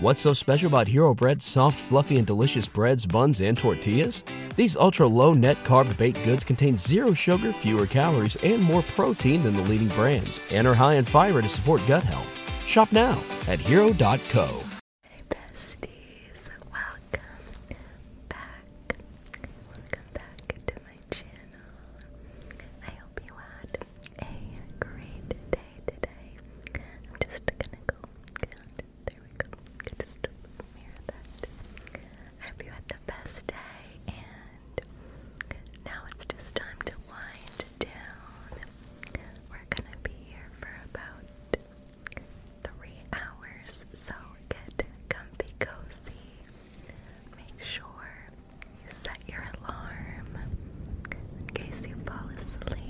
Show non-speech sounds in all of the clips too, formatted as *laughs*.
What's so special about Hero Bread's soft, fluffy, and delicious breads, buns, and tortillas? These ultra low net carb baked goods contain zero sugar, fewer calories, and more protein than the leading brands, and are high in fiber to support gut health. Shop now at hero.co. Hey, besties, welcome back. Welcome back to my channel. I hope you had a great day today, I'm just gonna go there we go. just mirror that. I hope you had the best day and now it's just time to wind down. We're gonna be here for about three hours, so get comfy cozy. Make sure you set your alarm in case you fall asleep.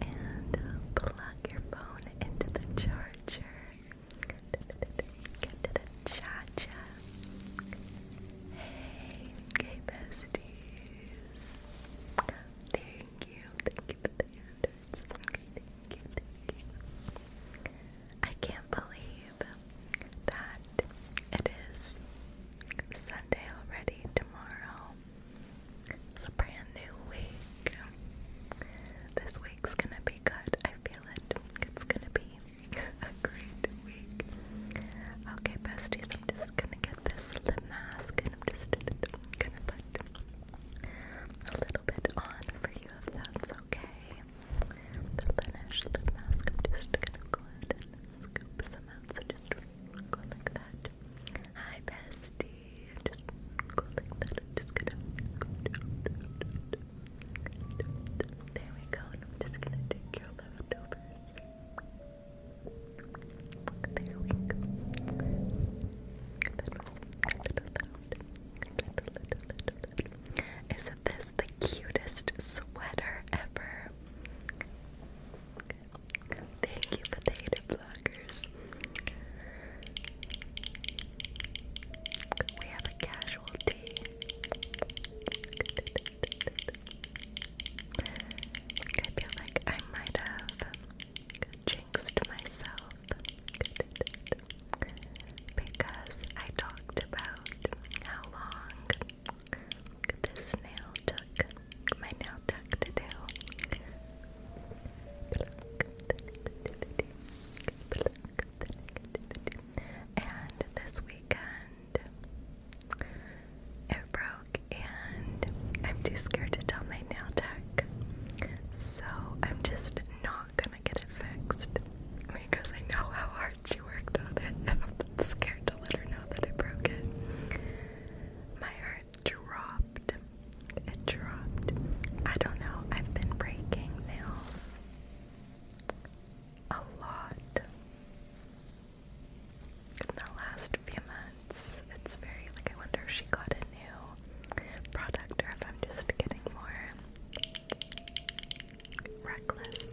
And uh, plug your phone into the charger. cha-cha. Hey, besties. Thank you, thank you for the Thank you, thank you. I can't believe that it is Sunday already tomorrow. It's a brand new week. This week's gonna be good. I feel it. It's gonna be a great week. Okay, besties, I'm just gonna get this lip mask and I'm just gonna put a little bit on for you that's okay. The Laneige lip mask, I'm just gonna go ahead and scoop some out. So just go like that. Hi, bestie. Just go like that. Just gonna There we go. just gonna take your leftovers. There we go. this the cutest sweater ever? Thank you, potato blockers. We have a casualty. I feel like I might have jinxed myself because I talked about how long Look at this nail tuck. My nail tuck to And this weekend it broke and I'm too scared to tell my nail tech. So I'm just not gonna get it fixed because I know how hard she worked on it and I'm scared to let her know that it broke my heart dropped. It dropped. I don't know. I've been breaking nails a lot in the last few months. It's very like I wonder if she got a new product or if I'm just getting more reckless.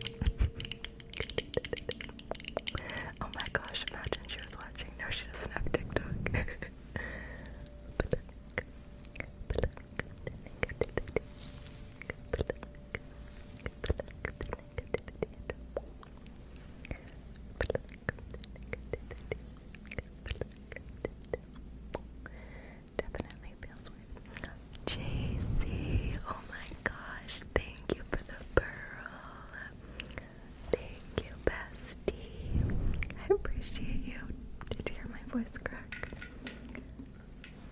*laughs* Oh my gosh, imagine she was watching. No, she doesn't TikTok. *laughs* Definitely feels weird. JC, oh my gosh, thank you for the pearl. Thank you, bestie. I appreciate you. Did hear my voice crack?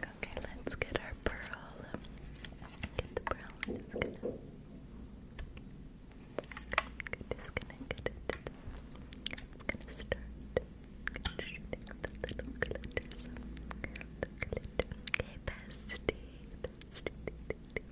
Okay, let's get our pearl. Get the pearl. just gonna. Okay, it. I'm gonna start Okay, Bestie.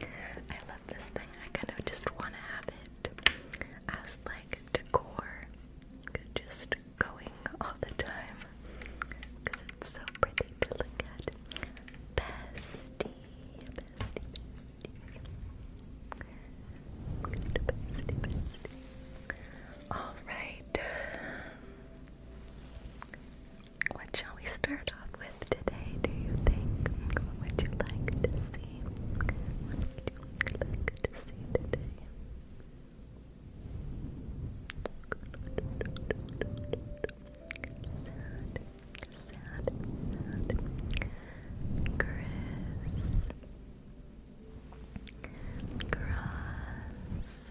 I love this thing. I kind of just want to have it as like decor, just going all the time because it's so pretty to look at. Bestie, bestie, bestie. Bestie, All right. Um, what shall we start off with today, do you think? What would you like to see? What would you like to see today? Sad, sad, sad. Chris grass,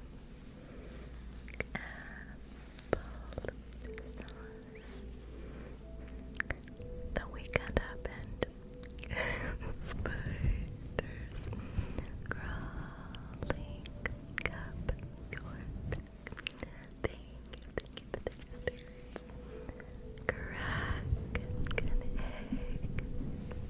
apple The weekend happened. *laughs* Spiders crawling up your back. Thank you, Crack an egg.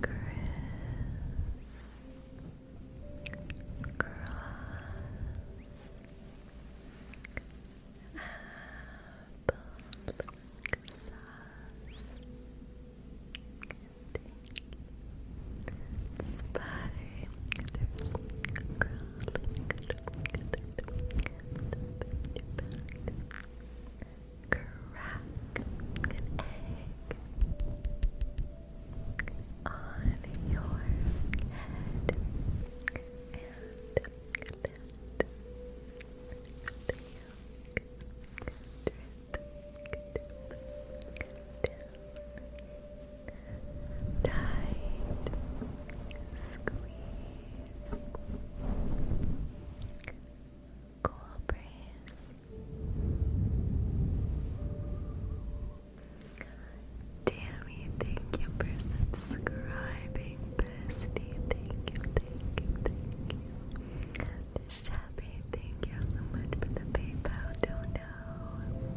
Chris Cross Apple Sauce Spy There's Crawling crack an egg on your head and let the yolk drip down tight squeeze cool breeze. Tammy, thank you for subscribing. Bestie, thank you, thank you, thank you. Shabby, thank you so much for the PayPal dono.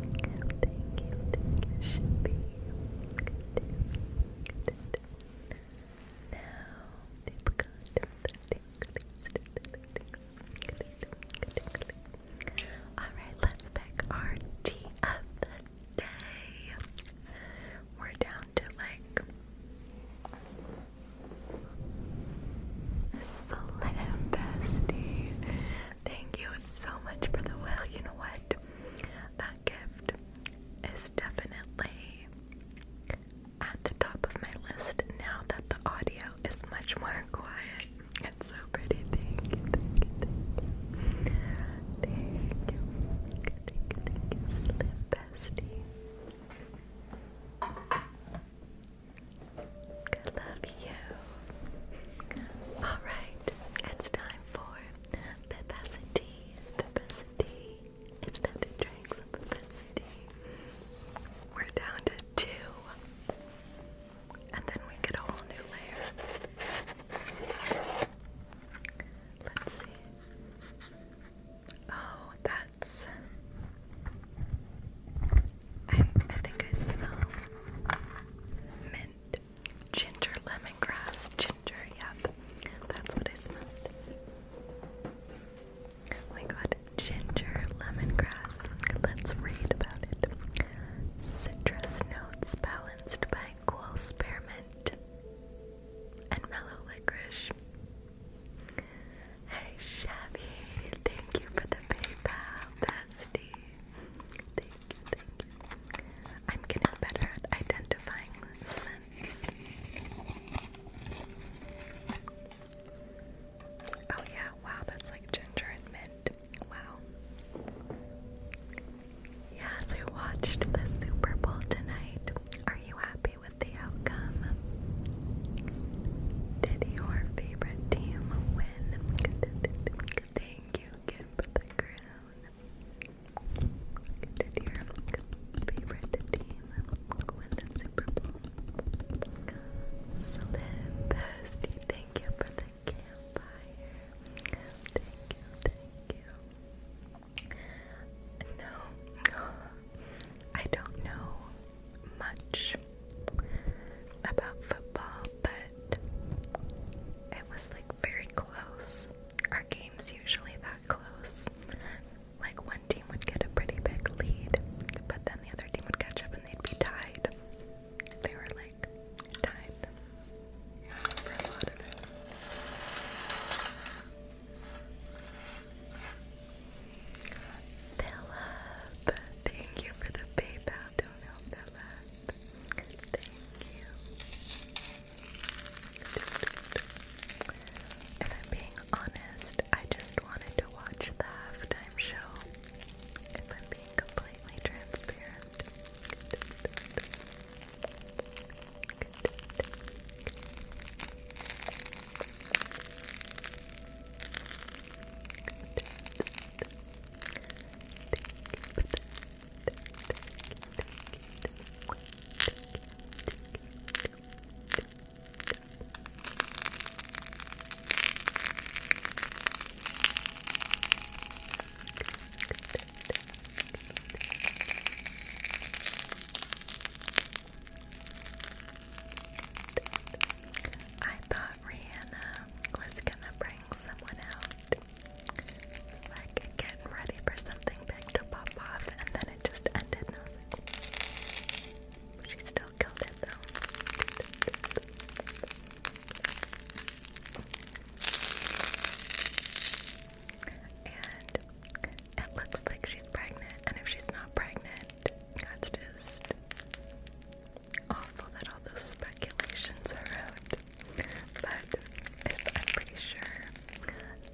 Thank you, thank you, Shabby. Alright, let's pick our tea We're down to like Slim Bestie. Thank you so much for the well. You know what? That gift is definitely at the top of my list now that the audio is much more quiet. It's so pretty. Thank you, thank you, thank you. Thank you, thank you, thank you, thank you. Slim bestie. I love you. Alright, it's time for Vivacity. Vivacity. It's of that We're down to two. And then we get a whole new layer. Let's see. Oh, that's. I, think I smell mint, ginger, lemongrass, ginger. Yep, that's what I smelled. We oh got ginger, lemongrass. Let's read about it. Citrus notes balanced by cool spearmint and mellow licorice. Hey Chevy, thank you for the PayPal, bestie. I'm getting better at identifying scents. Oh yeah, wow, that's like ginger and mint. Wow. Yes, I watched the Super Bowl tonight. Are you happy with the outcome? Did your favorite team win? Thank you, Kim, the crown. Did your favorite team win the Super Bowl. So thank you for the campfire. Thank you, thank you. No, I don't know much about football, but it was like very close. Our game's usually that close like one team would get a pretty big lead, but then the other team would catch up and they'd be tied. They were like tied for a lot of it. Philip, thank you for the PayPal donut, Philip. Thank you. If I'm being honest, I just wanted to watch the halftime show. If I'm being completely transparent. I thought Rihanna was gonna bring someone out. like getting ready for something big to pop off, and then it just ended, and still I'll though. And it looks like she's pregnant, and if she's not pregnant, that's just awful that all those speculations are out. But I'm pretty sure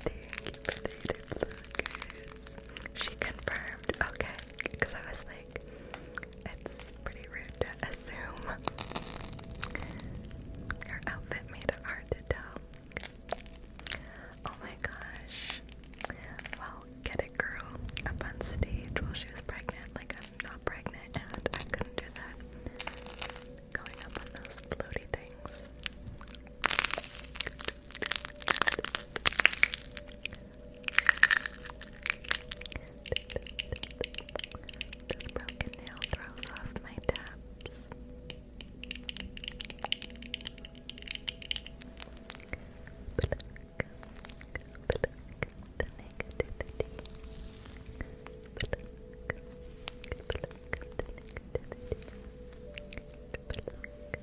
the she confirmed, okay, because I was like, it's pretty rude to assume. Her outfit made it hard to tell. Oh my gosh. Well, get it, girl. Up on stage while she was pregnant. Like, I'm not pregnant, and I couldn't do that. Going up on those floaty things. This broken nail throws off my taps. Pluck, pluck the negativity. Pluck, pluck the negativity. Pluck,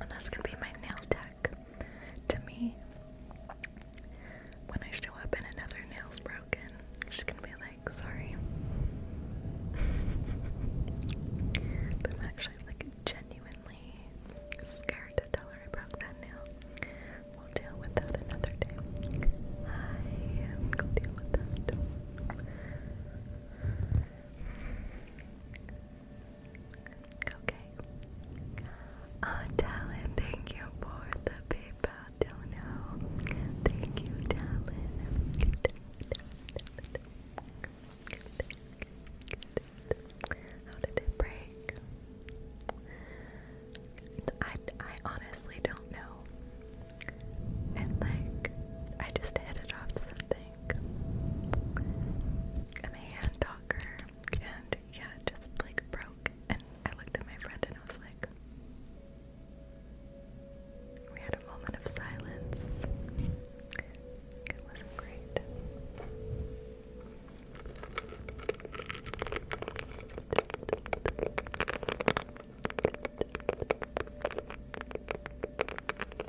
And that's gonna be my nail tech. To me, when I show up and another nail's broken, just gonna be like, sorry. *laughs* but I'm actually like genuinely scared to tell her I broke that nail. We'll deal with that another day. I am going deal with that. Okay. Uh, Talon, thank you for the PayPal dono. Thank you, Talon. How did it break? I, I honestly don't know. And like, I just hit it off something like I'm a hand talker and yeah, just like broke and I looked at my friend and I was like we had a moment of silence. It wasn't great. *laughs*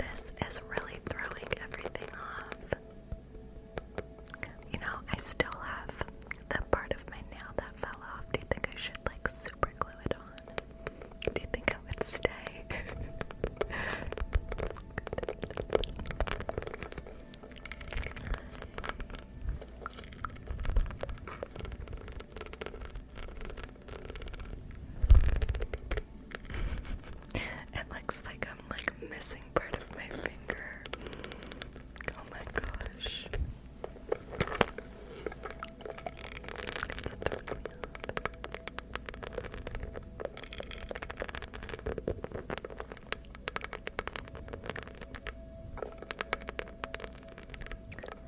This is really throwing everything off. You know, I still have the part of my nail that fell off. Do you think I should like super glue it on? Do you think it would stay? *laughs* it looks like like missing part of my finger. Oh my gosh.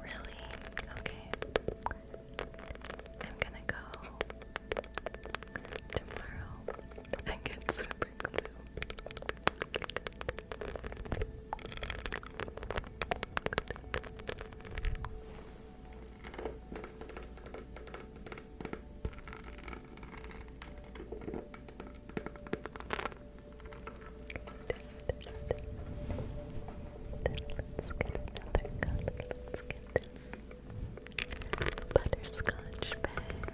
Really? Okay. I'm gonna go tomorrow. I get super glue. Let's get another Let's get this butterscotch bag.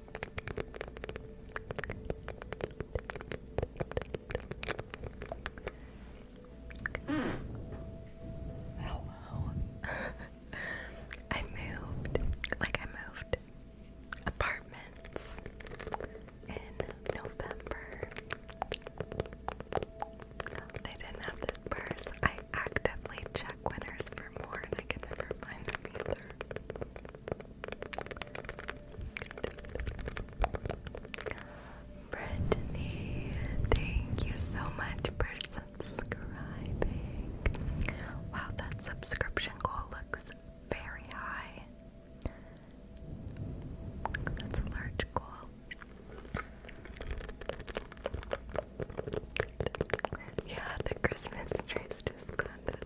Ow, *laughs* I moved, like I moved apartments in November. They didn't have the I actively check winners for more and I can never find Brittany, thank you so much for subscribing. Wow, that subscription goal looks very high. That's a large goal. Yeah, the Christmas trees just got the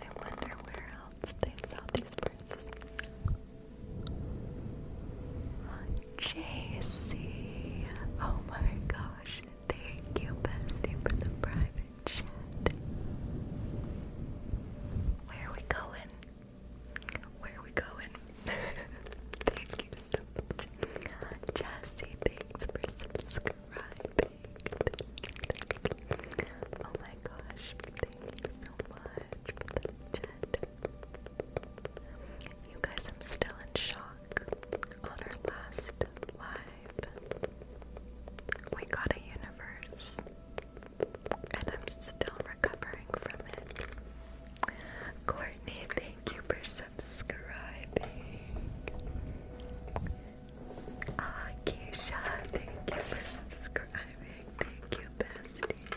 I wonder where else they sell these purses. JC, oh my gosh, thank you, bestie, for the private chat. Where are we going? Where are we going? *laughs* thank you Jesse, thanks for subscribing. Oh my gosh, thank you so much You guys, I'm still in shock on our last live. We got a universe, and I'm still recovering from it. Courtney, thank you for subscribing. Ah, Keisha, thank you for subscribing. Thank you, besties.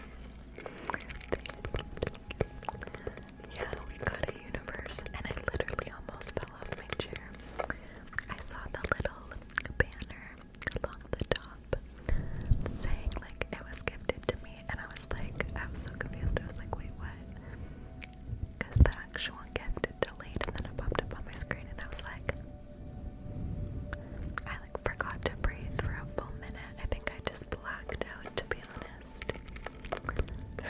Yeah, we got a universe, and I literally almost fell off my chair. I saw the little banner along the top saying, like, it was gifted to me, and I was like, I was so confused. I was like, wait, what? actual gift delayed and then it popped up on my screen and I was like I like forgot to breathe for a full minute. I think I just blacked out to be honest. Yeah.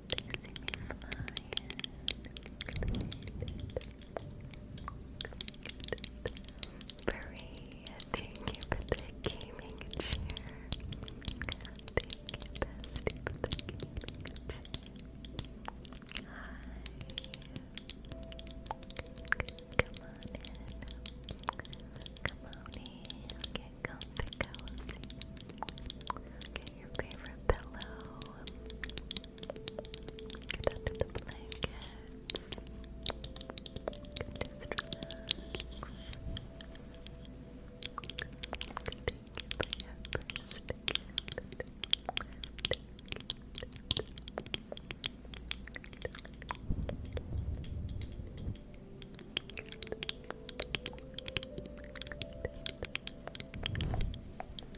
Maria, thank you for the gaming chair. Thank you, bestie, for the gaming chair. Hi. Come on in. Come on in. Get comfy, cozy your favorite pillow. Get under the blankets. Just relax. Thank you.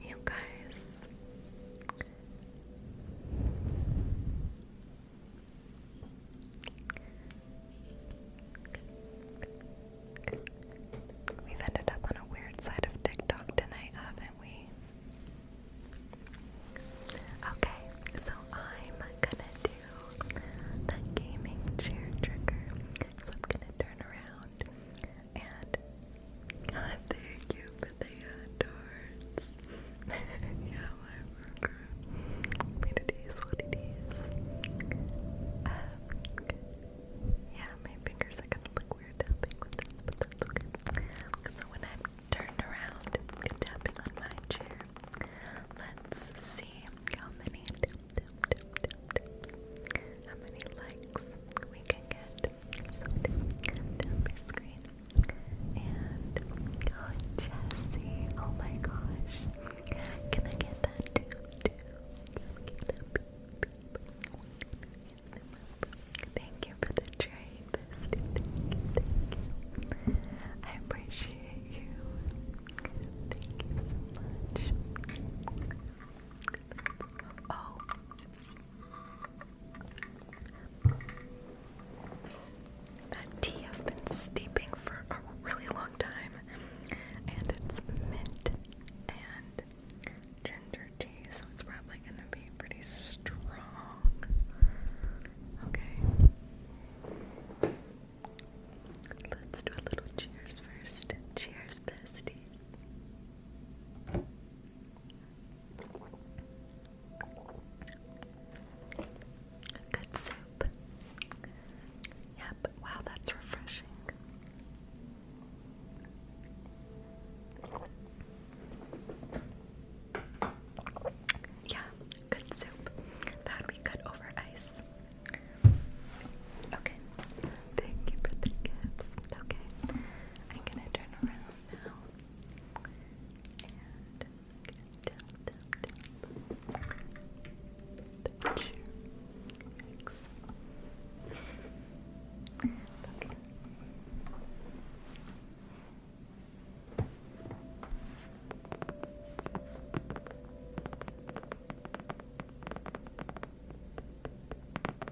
You guys. We've ended up on a weird side of TikTok tonight, haven't we? Okay, so I'm gonna do the gaming chair trigger. So I'm gonna turn around and God, thank you for the darts. *laughs* Um, yeah, my fingers are gonna look weird tapping with this, but that's okay. So when i turned around tapping on my chair, let's see how many how many likes we can get. So screen. And oh Jesse, oh my gosh. Can I get that Thank you for the trade, I appreciate you. Thank you so much. Oh. That tea has been steeping for a really long time, and it's mint and ginger tea, so it's probably going to be pretty strong. Okay. Let's do a little cheers first. Cheers, bestie. Good soup. Yep, wow, that's refreshing. Yeah, good soup. That'd be good over ice. Okay. Thank you for the gifts. Okay, I'm gonna turn around now and tap, tap, tap. Picture. X. Okay.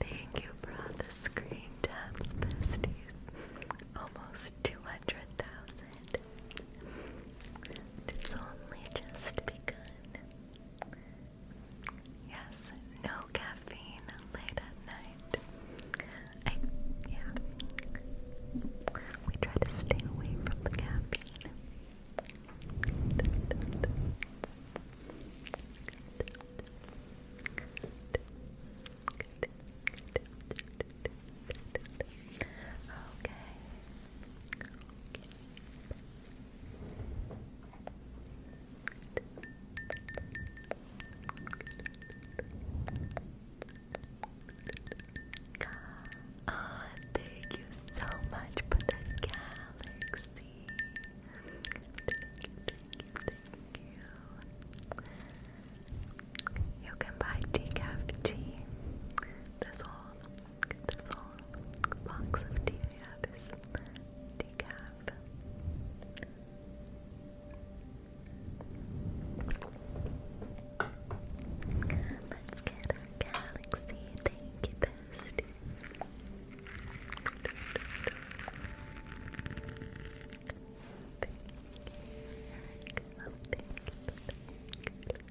Thank you for screen taps, besties. Almost two hundred thousand. It's only just begun. Yes, no caffeine late at night. yeah. We try to stay away from the caffeine. *laughs* Okay. Oh, thank you so much for the galaxy. thank you. You can buy decaf tea. This whole, this whole box of tea I have is decaf. Let's get our galaxy. Oh, thank you, thank you.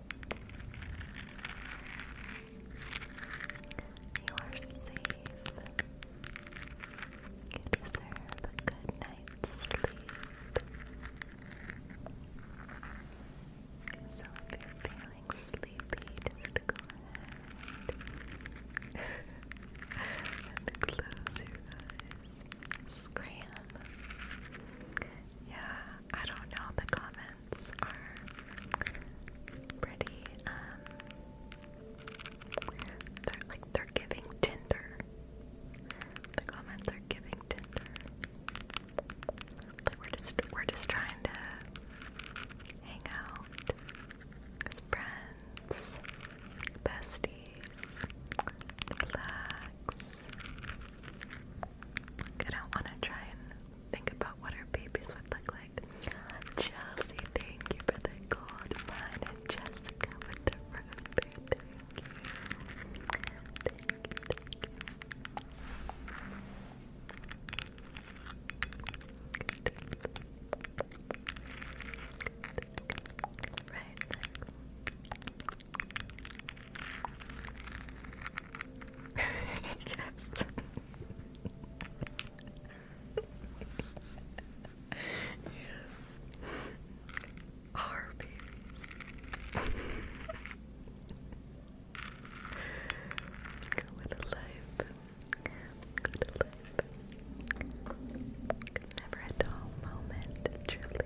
You are safe. You deserve a good night's sleep. So if you're feeling sleepy, just go ahead *laughs* and close your eyes. Scram. Yeah, I don't know. The comments are pretty, um, they're like they're giving Tinder. The comments are giving Tinder. Like we're just we're just trying to hang out as friends, besties, relax. I don't want to try and think about what our babies would look like. Chelsea, thank you for the gold mine, and Jessica with the rose beard. Right, yes. yes. Our babies. Go life. Go life. Never a dull moment, truly.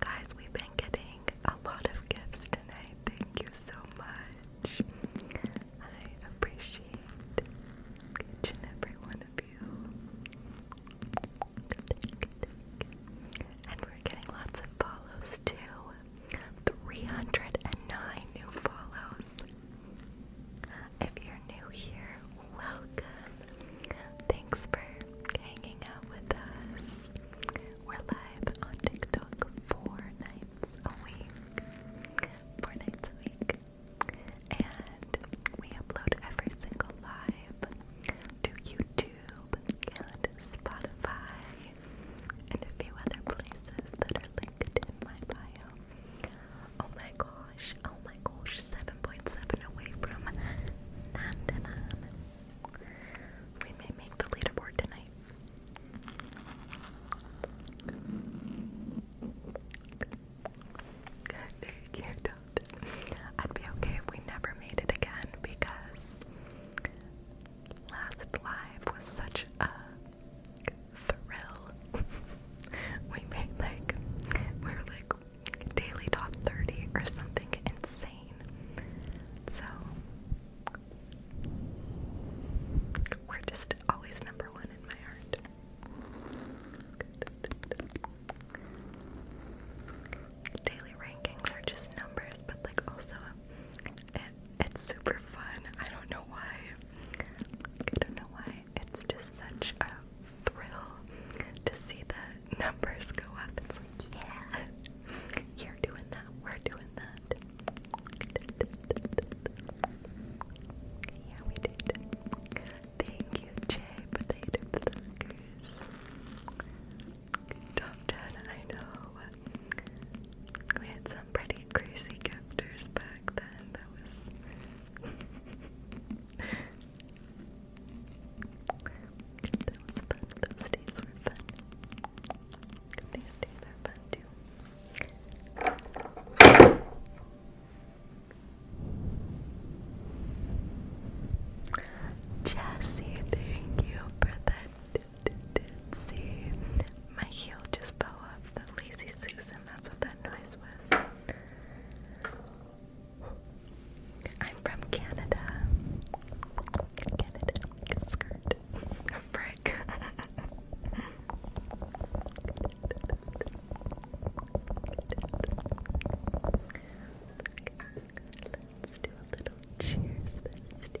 Guys, we've been getting a lot of gifts tonight. Thank you so much. I appreciate each and every one of you. And we're getting lots of follows too. 309 new follows. If you're new here, welcome. Thanks for hanging out with us. We're live on TikTok four nights a week. Four nights a week. And we upload every single live to YouTube and Spotify and a few other places that are linked in my bio. Oh my gosh, oh my gosh, 7.7 away from Nandanan. We may make the leaderboard tonight. Good, *laughs* I'd be okay if we never made it again because last live was such a thrill. *laughs* we made like we are like daily top 30 or something insane. So we're just always number one in my heart. Daily rankings are just numbers, but like also it's super fun. I don't know why. I don't know why it's just such a thrill to see the numbers go up. It's like, yeah, you're doing that, we're doing that. Yeah, we did. Thank you, Jay Potato Pluckers. Top 10, I know. We had some pretty crazy characters back then. *laughs* That was. fun. Those days were fun. These days are fun too. Jessie, thank you for that. See, my heel just fell off the lazy Susan that's what that noise was. I'm from Canada. Canada. Skirt. A frick. Let's do a little cheers, besties.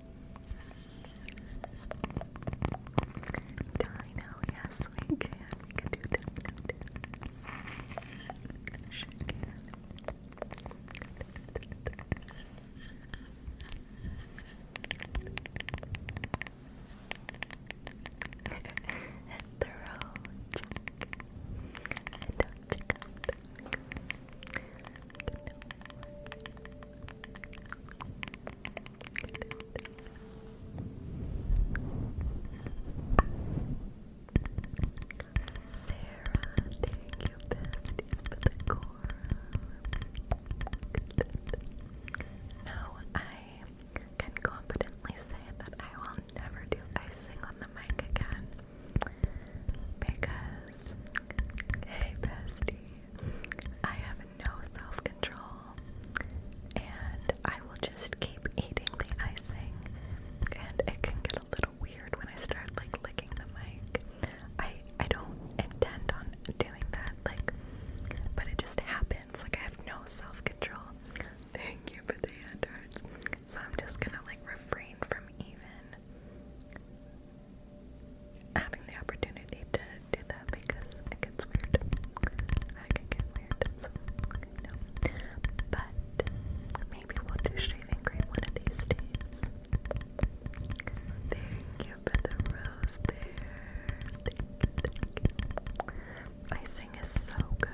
Dino, yes we can. We can do Dino. Sure can. Thorough check. Don't check out the core. Now I can confidently say that I will never do icing on the mic again because hey bestie I have no self control, and I will just keep eating the icing. And it can get a little weird when I start like licking the mic. I I don't intend on doing that, like, but it just happens. Like I have no self control. Thank you for the hand hearts. So I'm just gonna like refrain from even having the opportunity to do that because it gets weird. I can get weird, so no. But maybe we'll do shaving cream one of these days. Thank you for the rose there. Thank you, thank you. Icing is so good.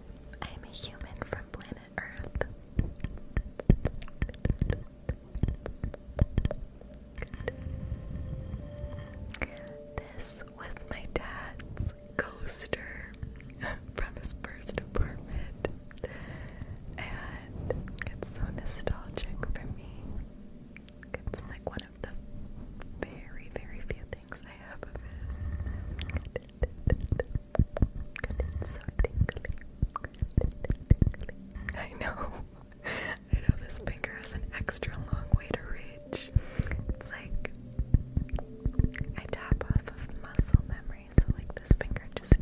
I am a human from planet Earth. This was my dad's coaster from his first apartment, and it's so nostalgic for me. It's like one of the very, very few I know. *laughs* I know this finger has an extra long way to reach. It's like I tap off of muscle memory, so like this finger just *laughs*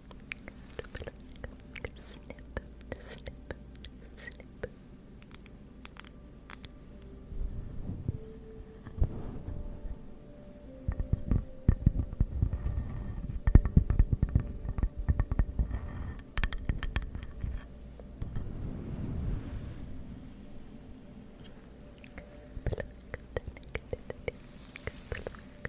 snip, snip, snip. Pluck the neck, the neck, pluck,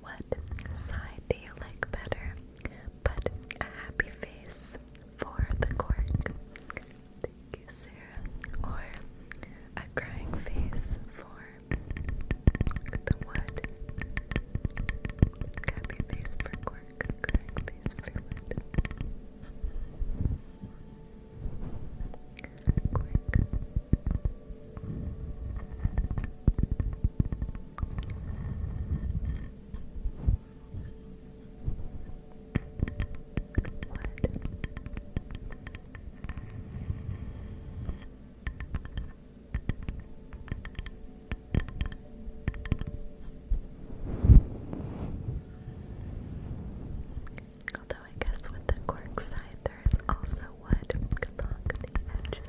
What side do you like better? But a happy face for the cork. Thank you, Or a crying face for the wood. Happy face for cork, crying face for wood. Cork. Although I guess with the cork there is also wood along the edges.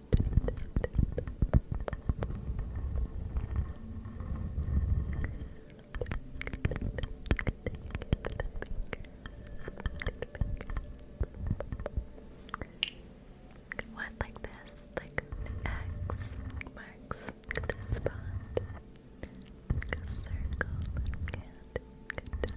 What like this? Like X marks the spot. Like a circle and a dot.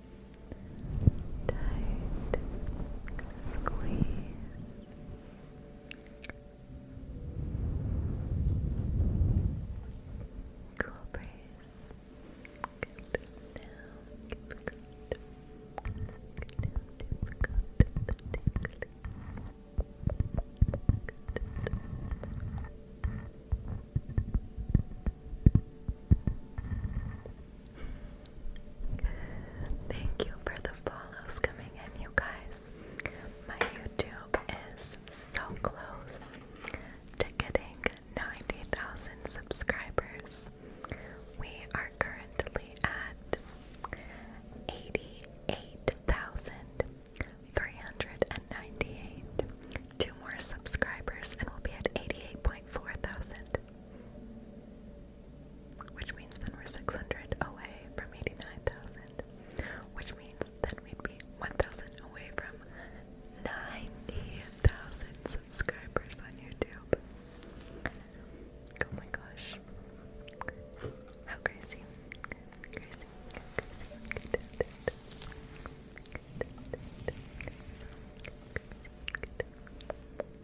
tight squeeze. Cool breeze. Good. Now difficult. Good. Now difficult. The tingling. Good. Thank you for the follows coming in, you guys. My YouTube is so close to getting 90,000 subscribers. We are currently at 88,398. Two more subscribers, and we'll be at 88.4 thousand. Which means then we're 600 away from 89,000. Which means then we'd be 1,000 away from 90,000 subscribers on YouTube. Oh my gosh. How crazy.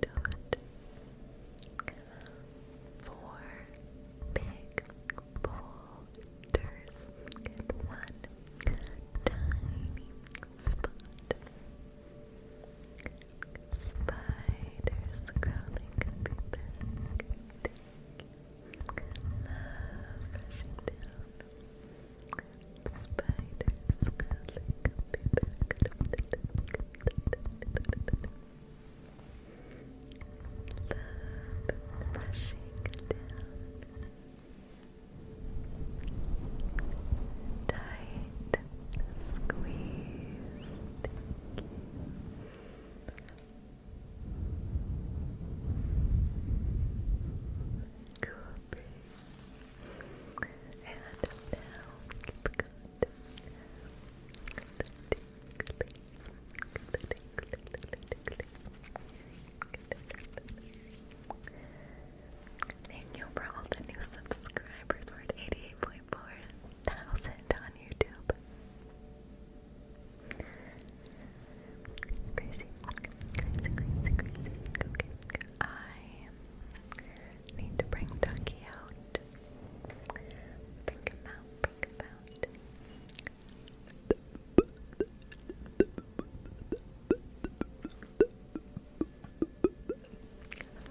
dot four big boulders and one tiny spot. Spiders crawling up your Love rushing down spiders crawling up your back. Love rushing down. Tight squeeze. Thank you. Cool breeze. And now Thank you for all the new subscribers. We're on YouTube. Crazy, crazy, crazy, crazy. Okay, I Need to bring Ducky out. Bring him out, bring him out.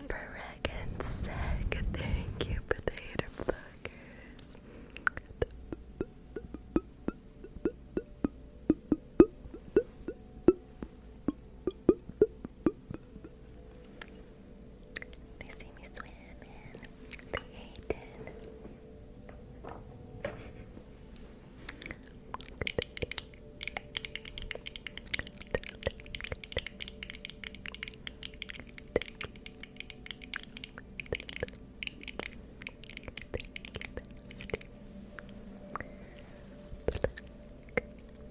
Frag and thank you for the they see me swimming. They hate it.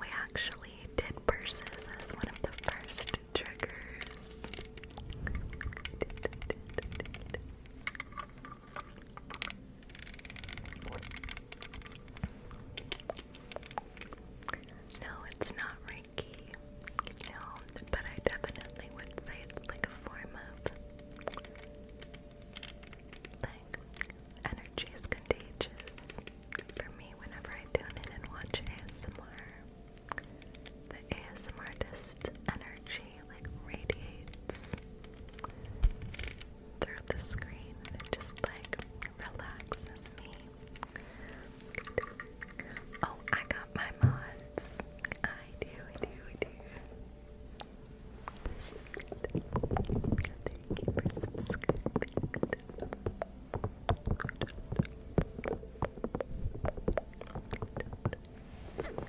We actually did purses as one of the first triggers. No, it's not Reiki. No, but I definitely would say it's like a form of like energy is contagious. For me, whenever I tune in and watch ASMR, the ASMR artist energy like radiates through the screen it just like relaxes me. Oh, I got my mods. I do, I do, I do.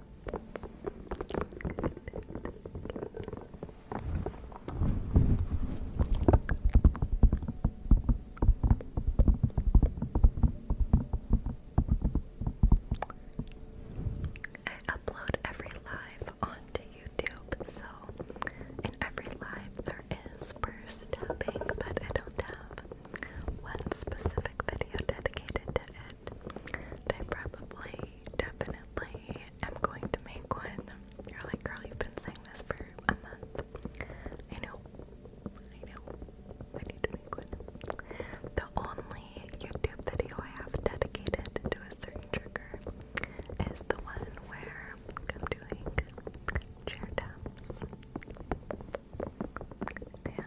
I upload every live onto YouTube, so in every live there is first but I don't have one specific video dedicated to it. And probably definitely am going to make one. You're like, girl, you've been saying this for a month. I know. I know. I need to make one. The only YouTube video I have dedicated to a certain trigger is the one where I'm doing chair taps. And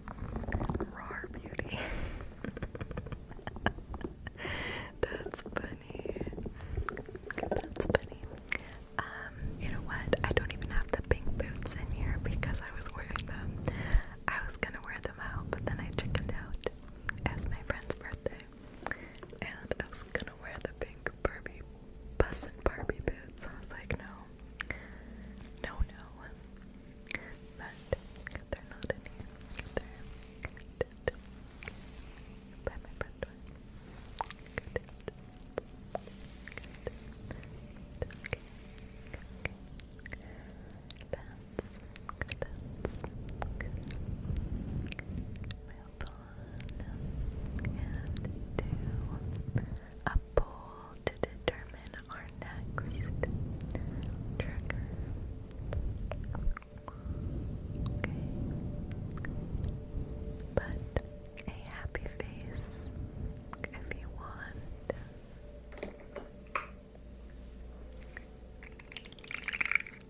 Raw beauty. *laughs* That's funny. That's funny. Um, you know what? I don't even have the pink boots in here because I was wearing them. I was gonna wear them out, but then I chickened out. It my friend's birthday. And I was gonna wear the pink Barbie bus and Barbie boots. I was like, no. No, no but they're not in here. They're dead. by my front door. Good. Good. Okay. Okay. That's good. That's good. We'll pull on and do a poll to determine determine our next trigger. Okay. But a happy face if you want.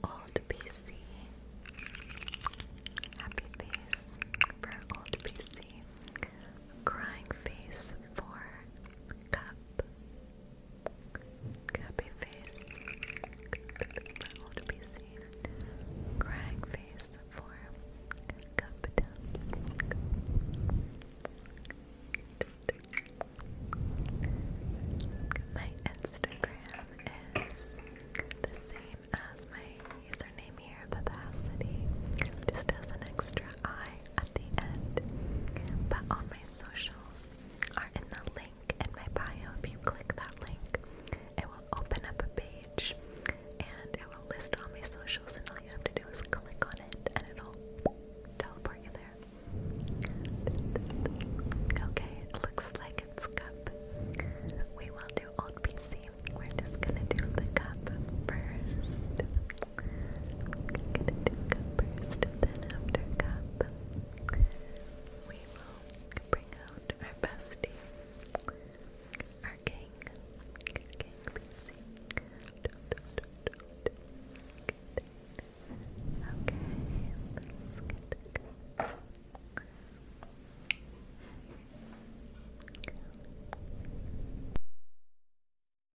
Old PC. Happy face for old PC. Crying face for cup. Happy face, all to be seen. Crying face for cup My Instagram is the same as my username here, Vivacity. Just has an extra I at the end. But on my social socials are in the link in my bio. If you click that link, it will open up a page and it will list all my socials, and all you have to do is click on it and it'll teleport you there. Okay, it looks like it's cup. We will do old PC. We're just gonna do the cup first. Get into cup first, then after cup, we will bring out our bestie, our king, King Lucy. Okay, let's get the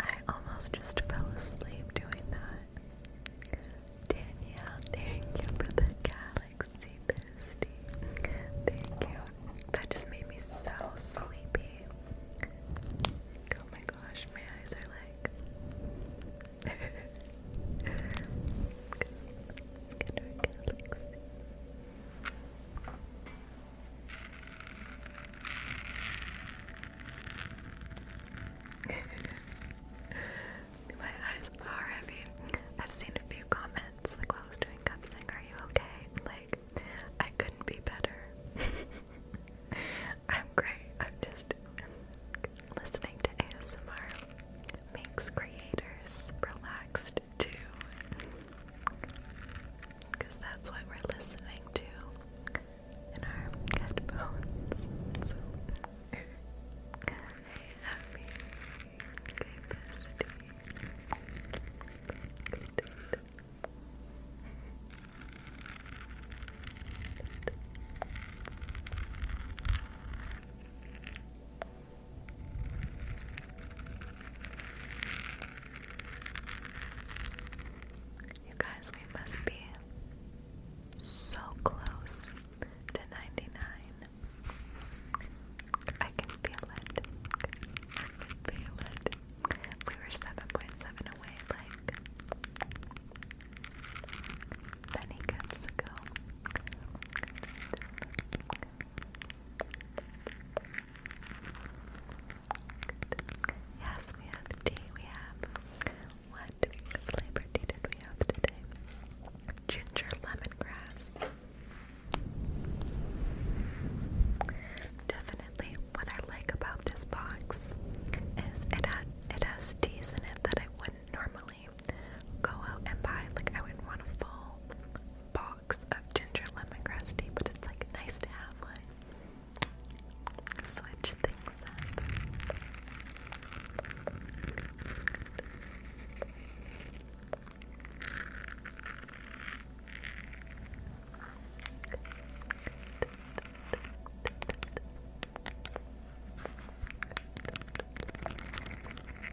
I almost just fell asleep doing that. Danielle, thank you for the galaxy bestie. Thank you. That just made me so sleepy. Oh my gosh, my eyes are like Scanner Galaxy. *laughs* My eyes are heavy. I've seen a few comments like I was doing cup saying, Are you okay? Like, I couldn't be better. *laughs* I'm great. I'm just listening to ASMR makes creators relaxed too. that's what we're listening to in our headphones. *laughs* You guys, we must be so close to 99. I can feel it. We were 7.7 away, like many games ago. Yes, we have tea. We have what flavor tea did we have today? Ginger lemongrass. Definitely, what I like about this box is it has it has teas in it that I wouldn't normally go out and buy, like, I wouldn't want a full box of ginger lemongrass tea, but it's, like, nice to have one. Switch things up.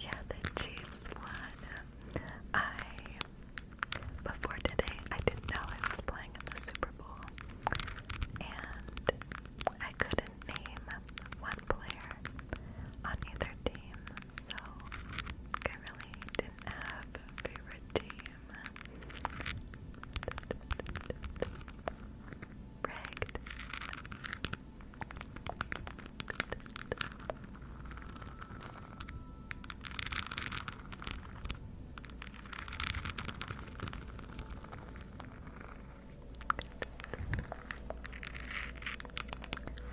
Yeah, the Chiefs won. I before today I didn't know I was playing in the Super Bowl and I couldn't name one player on either team, so I really didn't have a favorite team. Rigged.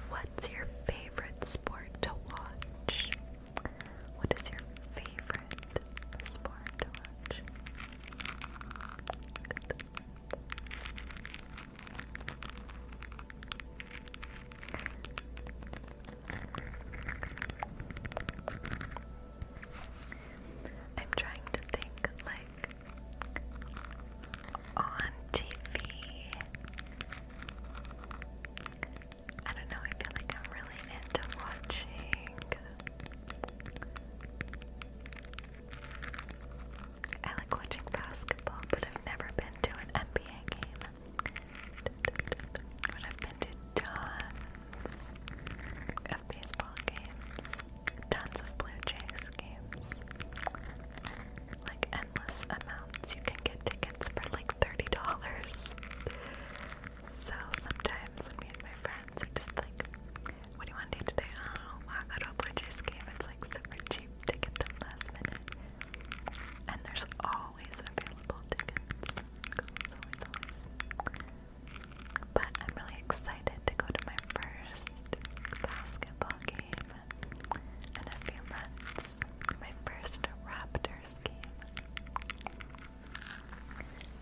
What's your favorite sport to watch? What is your favorite sport to watch? I'm trying to think like on TV. I don't know, I feel like I'm really into watching I like watching basketball, but I've never been to an NBA game. But I've been to tons of baseball games, tons of Blue Jays games. Like endless amounts. You can get tickets for like $30. So sometimes me and my friends are just like, what do you want to do today? Oh, I got a Bridges game. It's like super cheap to get them last minute. And there's always available tickets. Always, always. But I'm really excited to go to my first basketball game in a few months. My first Raptors game.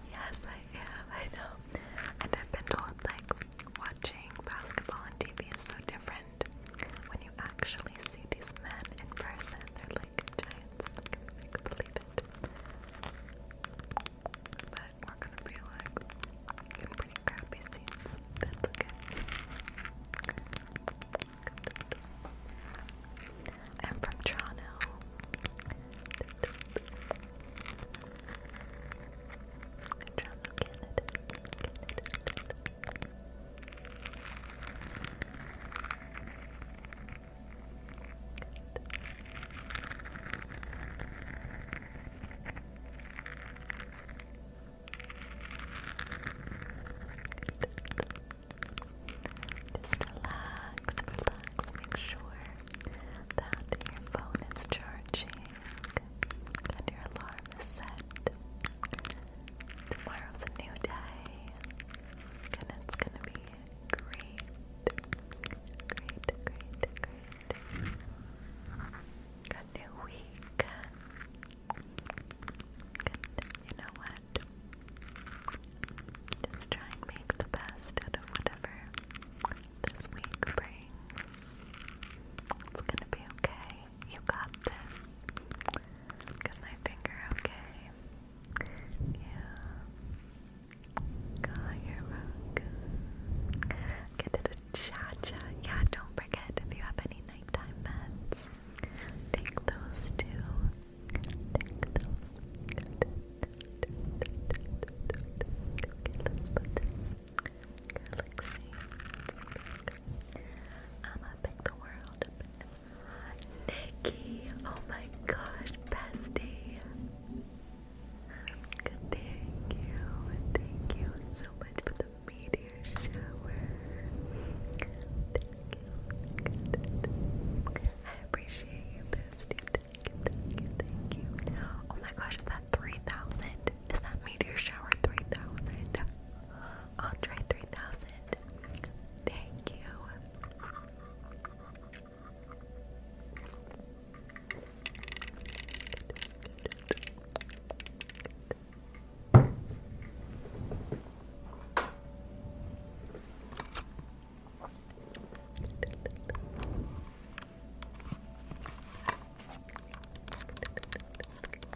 Yes, I am. I know. And I've been told, like, Watching basketball on TV is so different. When you actually see these men in person, they're like giants. I can like, believe it. But we're gonna be like in pretty crappy scenes. That's okay. I'm from Toronto. Toronto, Canada. Canada. Just relax, relax. Make sure that your phone is charging and your alarm is set. Tomorrow's a new day, and it's gonna be great. Great, great, great. A new week. And you know what? Just try and make the best out of whatever this week brings. It's gonna be okay. You got this. Is my finger okay? Yeah. God, you're welcome. Get it cha cha. Yeah, don't forget if you have any nighttime meds, take those too. Take those galaxy. I'ma pick the world Nikki, oh my gosh, bestie. Thank you, thank you so much for the meteor shower. I appreciate you, bestie. thank you, thank you. Oh my gosh, is that 3,000? Is that Meteor Shower 3000? Andre 3000. Thank you. Go to sleep.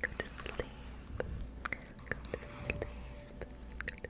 Go to sleep. Go to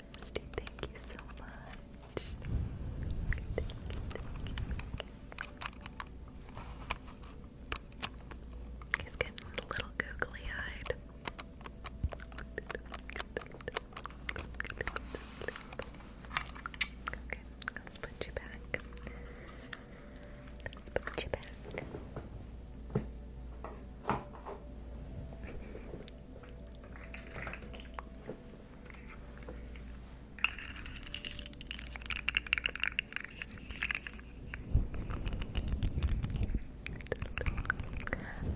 Thirsty, thank you so much. He's getting a little googly eyed. Okay, let's put you back. Let's put you back.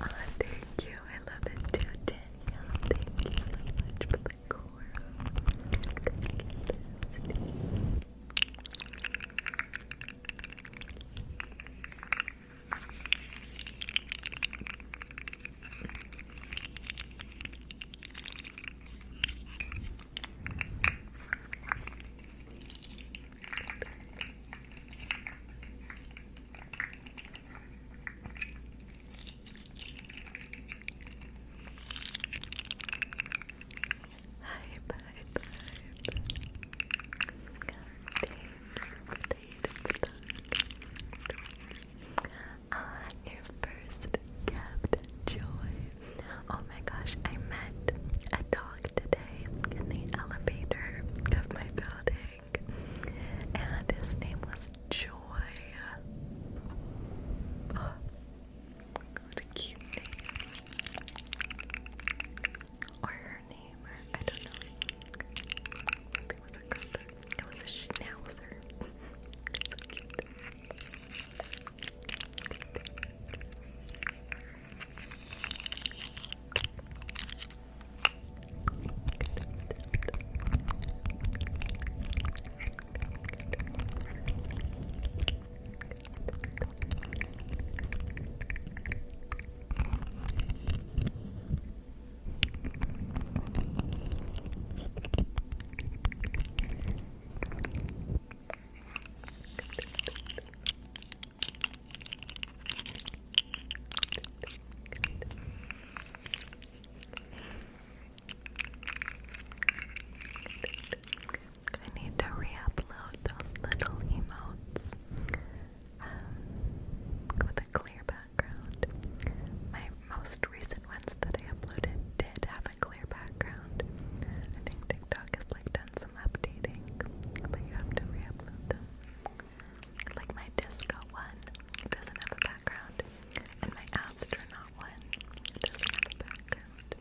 Oh, thank you. I love it too, Danielle. Thank you so much for Thank you, Hi, bye, bye. Thank you Ah, your first gift, Joy. Oh my gosh, I met a dog today in the elevator of my building, and his name was Joy. *gasps* Oh, what a cute name her name. I don't know. It was a schnauzer. I need to re-upload those little emotes um, with a clear background. My most recent ones that I uploaded did have a clear background. I think TikTok has like done some updating, but you have to re-upload them. Like my disco one doesn't have a background, and my astronaut one doesn't have a background.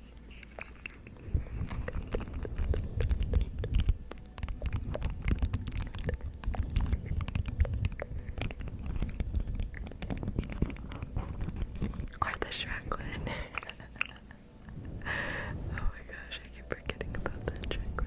Or the Shrek *laughs* oh my gosh, I keep forgetting about that Shrek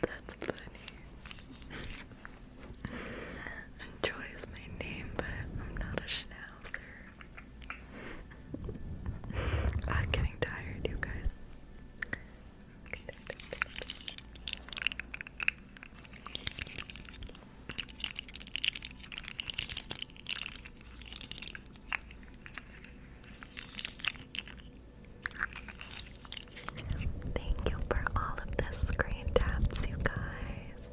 That's funny. Joy is my name, but I'm not a schnauzer. *laughs* I'm getting tired, you guys. Thank you for all of the screen taps, you guys.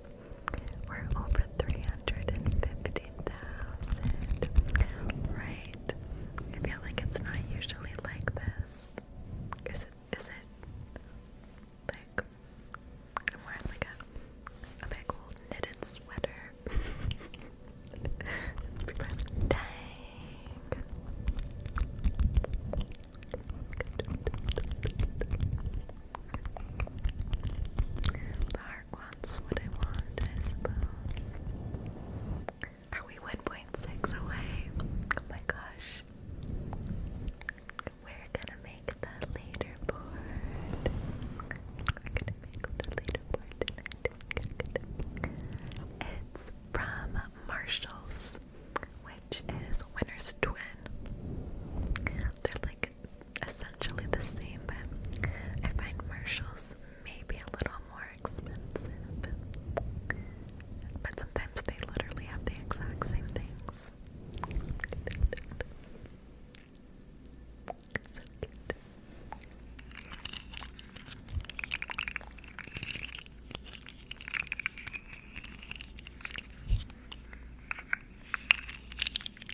We're over 350,000. Right. I feel like it's not usually like this. Is it is it like I'm wearing like a a big old knitted sweater. *laughs* Dang. Are we 1.6 away? Oh my gosh. We're gonna make the leaderboard. We're gonna make the leaderboard It's from Marshalls, which is Winner's Twin. They're like like essentially the same, but I find Marshalls maybe a little more expensive. But sometimes they literally have the exact same things. So cute.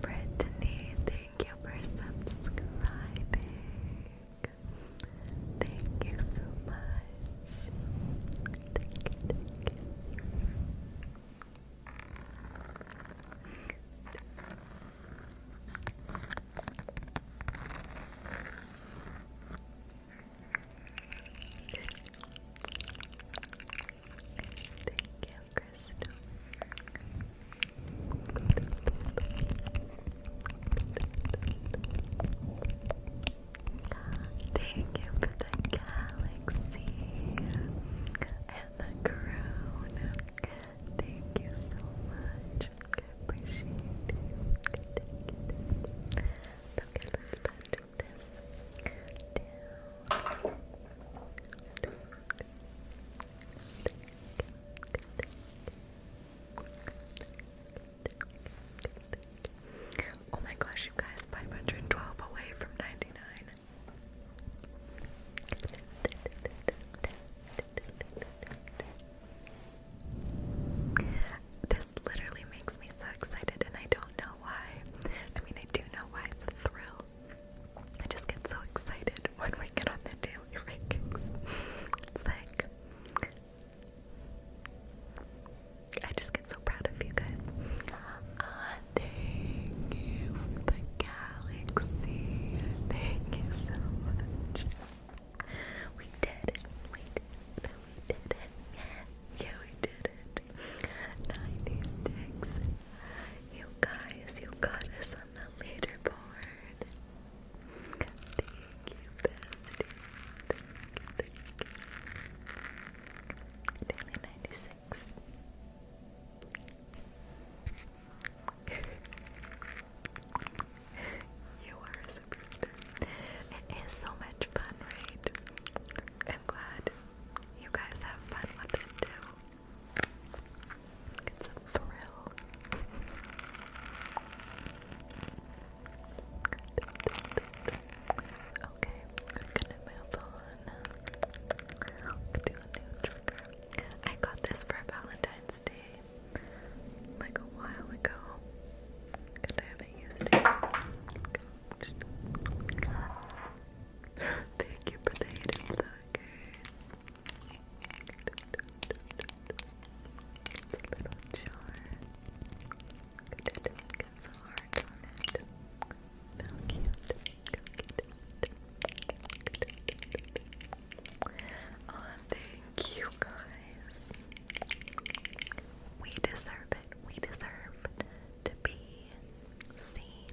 Brittany, thank you for subscribing. Thank you so much. Thank you, Thank you, Crystal. Thank you for the galaxy and the crown. Thank you so much. I Okay, let's put this down. Oh my gosh, you guys, 512 away from 99. This literally makes me so excited, and I don't know why. I mean, I do know why it's a thrill, I just get so excited when we get on the daily rankings. It's like I just get so proud of you guys. Ah, thank you the galaxy. Thank you so much. We did it. We did it. Yeah, we did it. 96. You guys, you got us on the leaderboard. Thank you, bestie. Thank you, thank 96. *laughs* you are a superstar. It is so much fun, right? I'm glad you guys have fun with it too. It's a thrill. Okay, I'm gonna move on. a new trigger. I got this for Valentine's Day, like a while ago. I haven't used it. *laughs* Thank you for markers. It's a little jar. Good to focus on it. How cute. thank you guys. We deserve it. We deserve to be seen.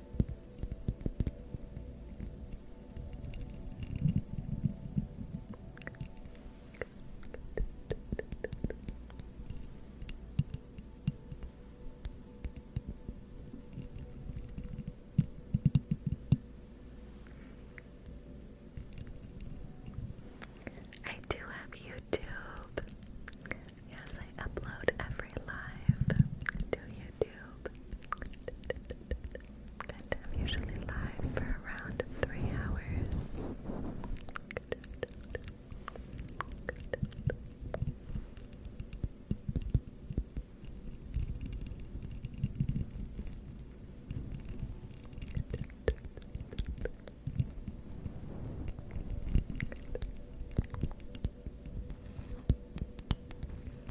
I do have YouTube. Yes, I upload every live to YouTube. And I'm usually live for around three hours.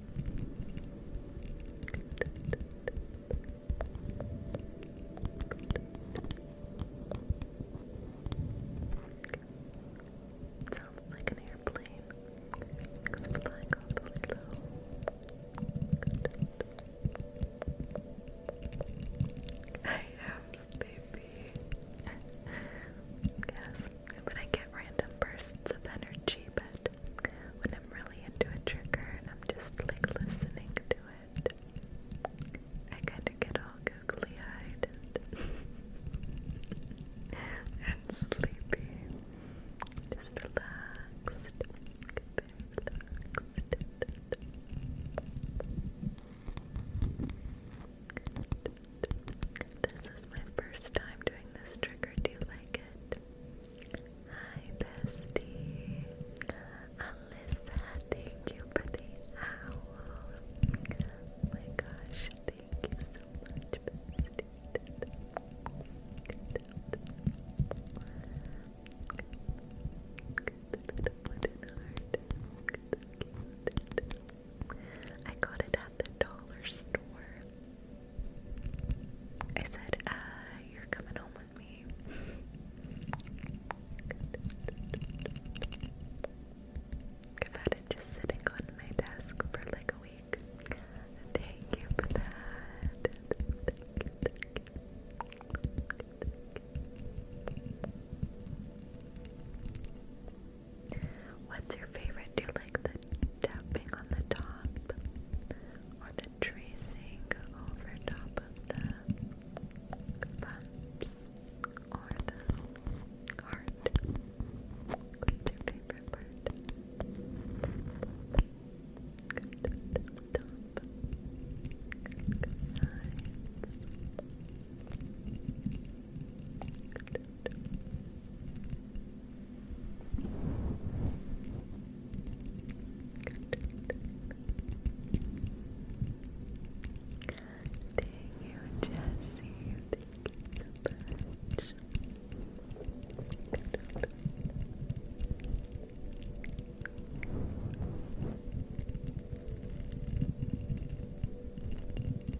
It sounds like an airplane. *laughs* I am sleepy. yes, *laughs* But I get random bursts of energy, but when I'm really into a trigger and I'm just like listening to it, I kind of get all googly eyed *laughs* and, sleepy. Just relax. This is my first time doing this trigger. Do you like it? Hi, bestie. Alyssa, thank you for the owl. my gosh, thank you so much, bestie. I got it at the dollar store. I said, uh, you're coming home with me. I've had it just sitting on my desk for like a week. Thank you for that. What's your favorite? Do you like the tapping on the top or the tracing over top of the bumps or the heart? What's your favorite part? Thank you, Jesse. Thank you so much. Thank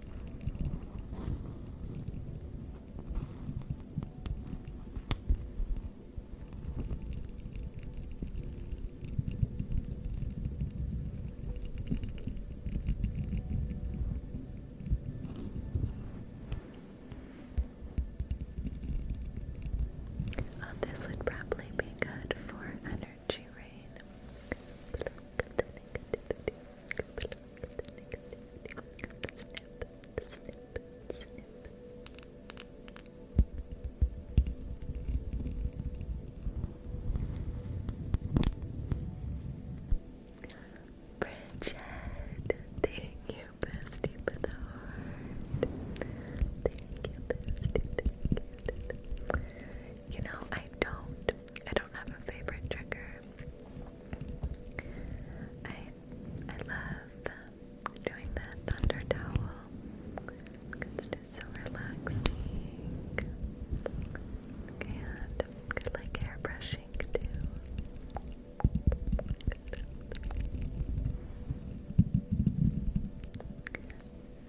Oh, this would probably be good for energy rain snip, snip, thank you, bestie, for the heart. Thank you, bestie, thank you. You know, I don't, I don't have a favorite trigger. I I love doing the thunder towel. It's just so relaxing. And good like airbrushing too.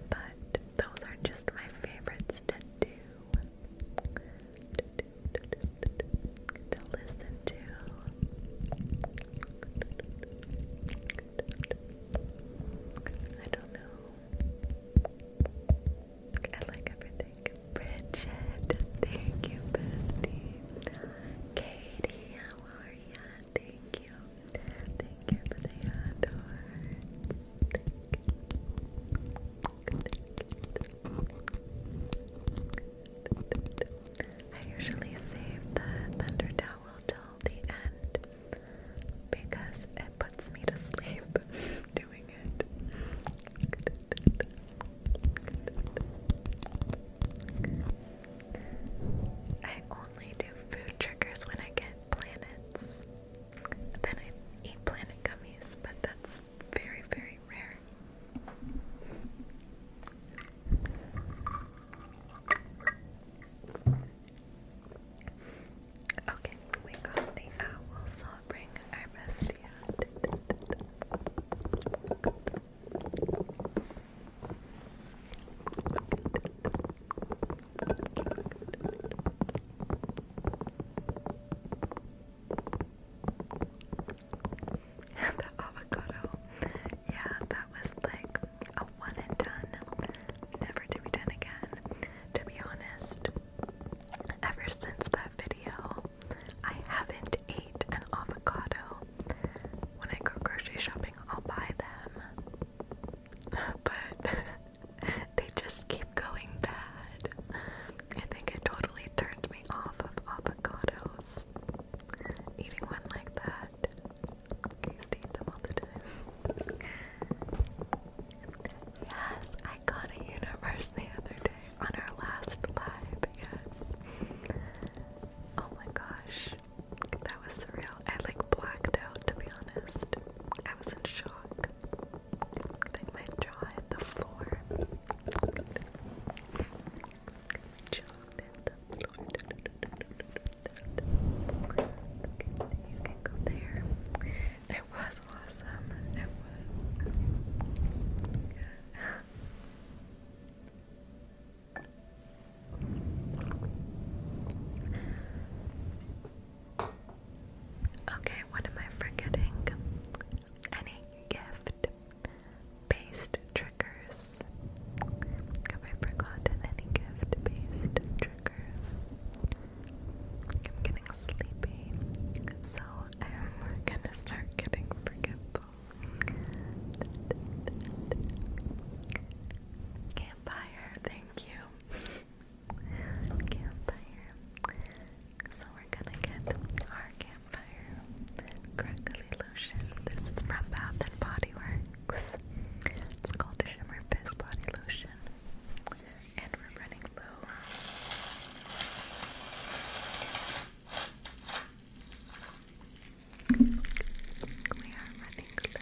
But those are just my favorites to do to listen to. I don't know. I like everything. Bridget, thank you, bestie. Katie, how are ya? Thank you. Thank you for the adore. Thank you. I usually save the thunder till the end because it puts me to sleep *laughs* doing it. I only do food triggers when I get planets. Then I eat planet gummies, but that's very, very rare. Okay, we got the owl, so bring our bestie out. And the avocado. Yeah, that was like a one and done. Never to be done again. To be honest, ever since that video, I haven't ate an avocado. When I go grocery shopping, I'll buy them. *laughs* But *laughs* they just keep going bad. I think it totally turned me off of avocados. Eating one like that. I used eat them all the time. yes, I got a universe the other day on our last live. Yes. Oh my gosh. That was surreal. I like blacked out to be honest. I was in shock like my jaw the floor. My the floor. It was awesome. It was. Okay, what am I forgetting? any gift based triggers. Have I forgotten any gift based triggers? I'm getting sleepy, so I'm gonna start getting forgetful. Campfire, thank you. Campfire. So we're gonna get our campfire crackly lotion. This is from Bath and Body Works. It's called the Shimmer Fizz Body Lotion. And we're running low. We are running low.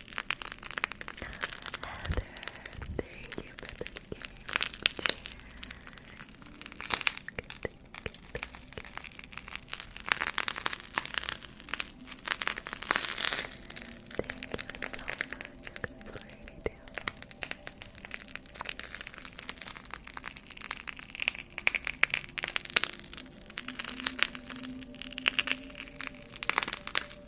Heather, thank you for the game. Cheers. Thank you so much. You guys were already down. Thank you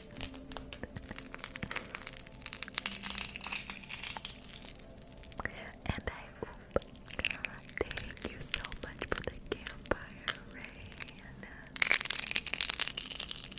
and I hope thank you so much for the campfire, Rain. I appreciate you.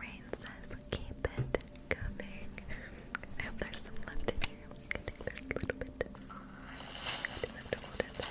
Rain says, keep it coming. I have some left in here. I think there's a little bit. I just have to hold it the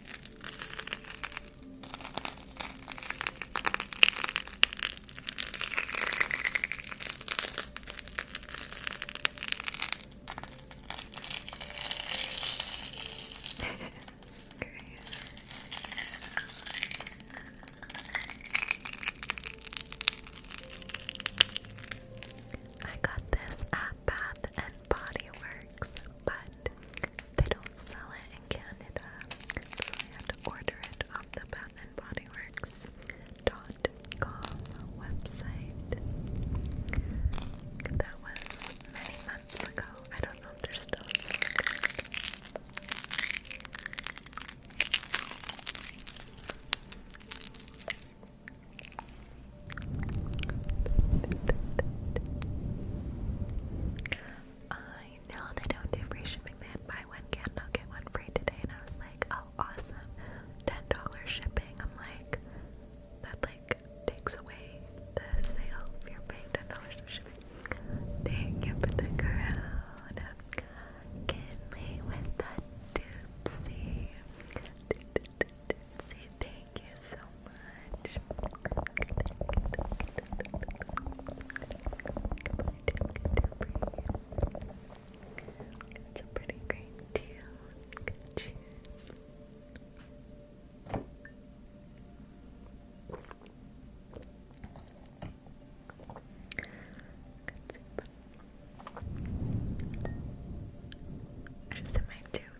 it's *laughs* great. I got this at Bath and Body Works, but they don't sell it in Canada, so I had to order it off the Bath and Body Works dot com website. That was many months ago. I don't know if they're still selling it. I know they don't do free shipping. They had buy one candle, get one free today, and I was like, oh, awesome. $10 shipping. I'm like, that like takes away the sale if you're paying $10 for shipping. Thank you for the crown. Kinley with the doopsie. Doopsie. Thank you so much. It's a pretty great deal. Cheers. Good soup. I just am my two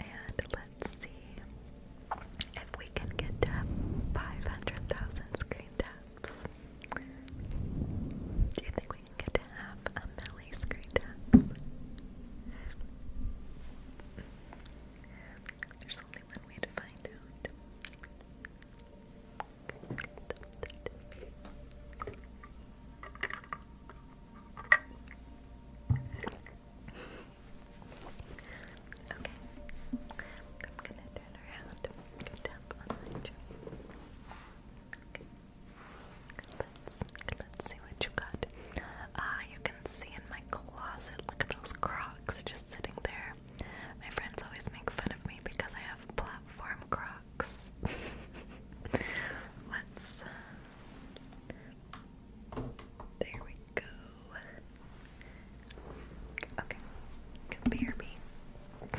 And let's see if we can get to 500,000 screen taps. Do you think we can get to half a milli screen taps? There's only one way to find out. Okay. I'm gonna turn around and tap Okay. Let's see what you got. Ah, you can see in my closet. Look at those Crocs just sitting there. My friends always make fun of me because I have platform Crocs. *laughs* let's. Uh, there we go. Okay. Compare me. Okay.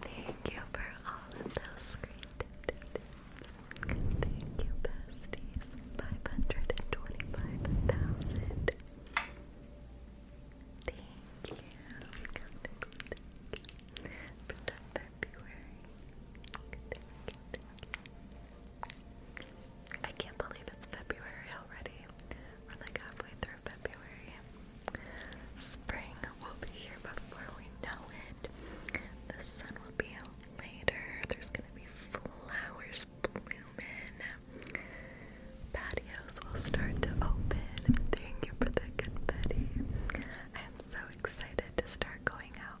Thank you for all of those great tips. Thank you, besties. 525,000. Thank you. I can't believe it's February already. We're like halfway through February. Spring will be here before we know it. The sun will be later. There's gonna be flowers blooming. Patios will start to open. Thank you for the confetti. I am so excited to start going out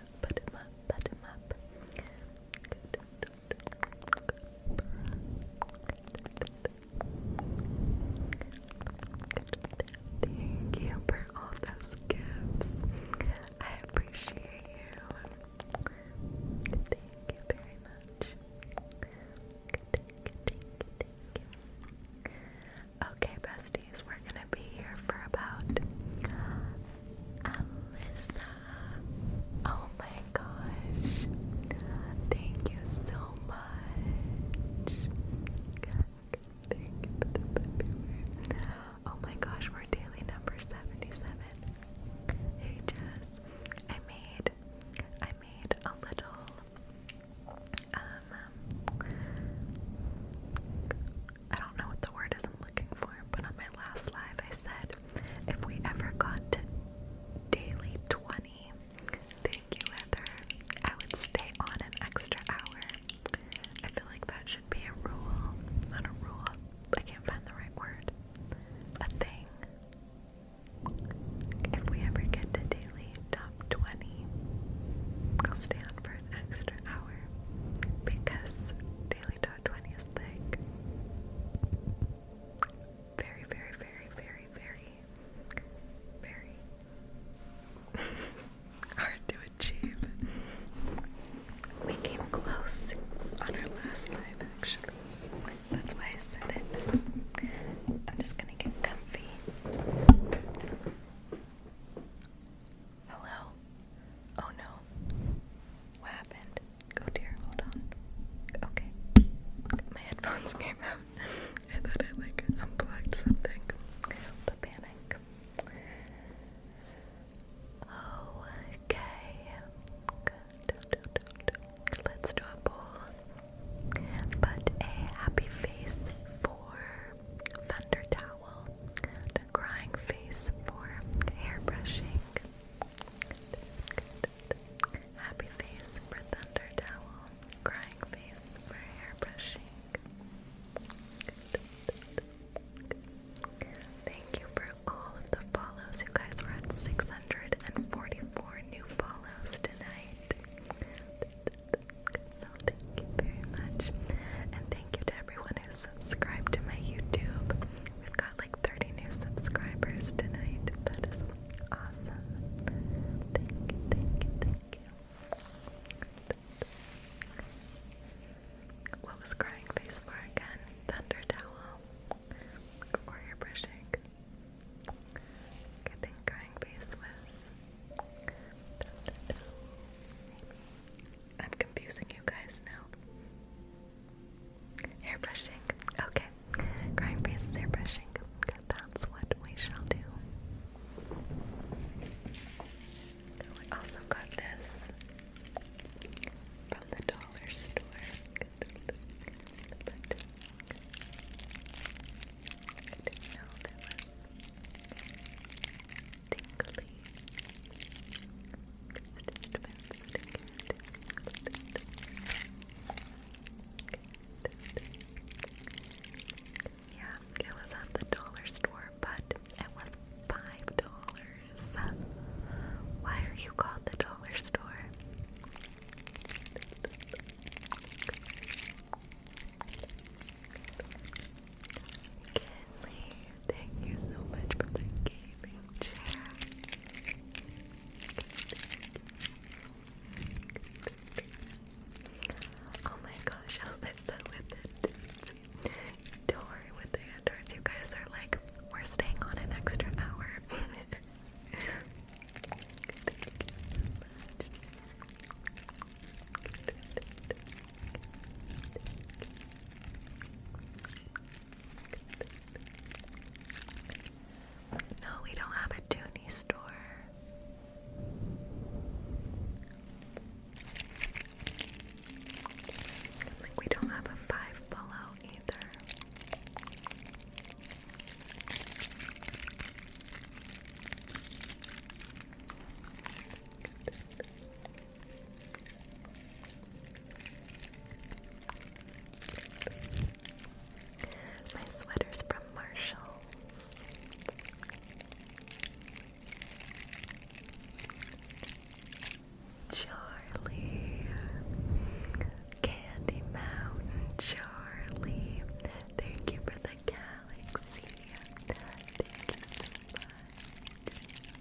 Thank you for all those gifts. I appreciate you. Thank you very much. Okay, besties, we're gonna be here for about Alyssa. Oh my gosh. Thank you so much. Oh my gosh, we're daily number 77. Hey Jess. I made I made a little um, I don't know what the word is I'm looking for, but on my last live I said if we ever got to daily 20, thank you Heather, I would stay on an extra hour. I feel like that should be a rule, not a rule, I can't find the right word, a thing. If we ever get to daily top 20, I'll stay on for an extra hour because daily top 20 is very, very, very, very, very, very *laughs* hard to achieve. We came close on our last live, actually. That's why I said it. I'm just gonna get comfy. Hello? Oh no. What happened? Go dear, hold on. Okay. My headphones *laughs* came out. I thought I like unplugged something. The panic. Okay. Let's do a poll. Put a happy face for Thunder Towel crying face for hair brushing. Happy face for thunder towel. Crying face for hair brushing. Thank you for all of the follows. You guys were at 644 new follows tonight. thank you very much. And thank you to everyone who subscribe to my YouTube. We've got like 30 new subscribers tonight. That is awesome. Thank thank thank you. What was crying face for again? Thunder towel or hair brushing? I think crying face was I'm confusing you guys now. Airbrushing. Okay. Crying face airbrushing. That's what we shall do. I also got this from the dollar store. I know there was tingly. Yeah, it was at the dollar store, but it was five dollars. Why are you called the dollar store? Thank you so much for the gaming chair. Oh my gosh, I'll listen with it. Don't worry with the androids, you guys are like, we're staying on an extra hour. *laughs* No, we don't have a toony store. we don't have a five below either. My sweater's from Marshalls. Charlie. Candy Mountain Charlie. Thank you for the galaxy. Thank you so much.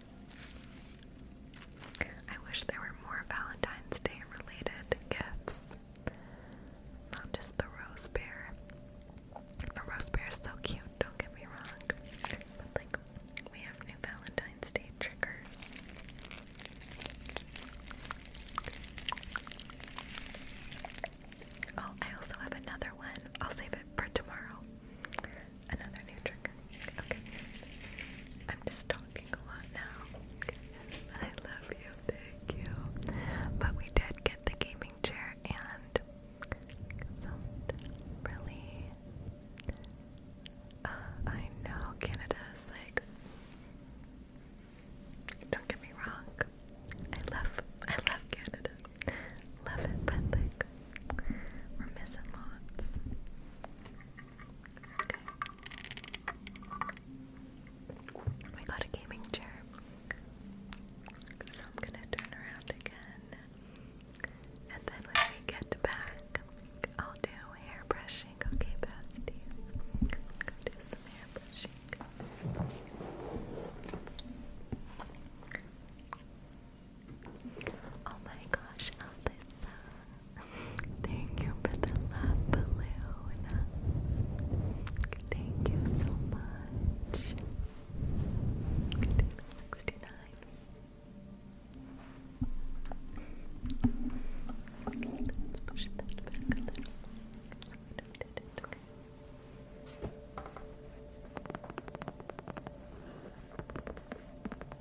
I wish there were more Valentine's Day related gifts. Not just the rose bear. The rose bear is so cute, don't get me wrong. But like we have new Valentine's Day triggers. Oh, I also have another one. I'll save it for tomorrow. Another new trigger. Okay. I'm just talking a lot now. I love you. Thank you. But we did get the gaming chair and some really. Uh, I know Canada is like. Don't get me wrong. I love, I love Canada. Love it, but like, we're missing lots. Okay. got a gaming chair. So I'm gonna turn around again. And then when we get back, I'll do hair brushing. Okay, besties. Go do some hair brushing. Oh my gosh, Alyssa. Thank you for the love balloon. Thank you so much. Sixty-nine. let's push that back a little.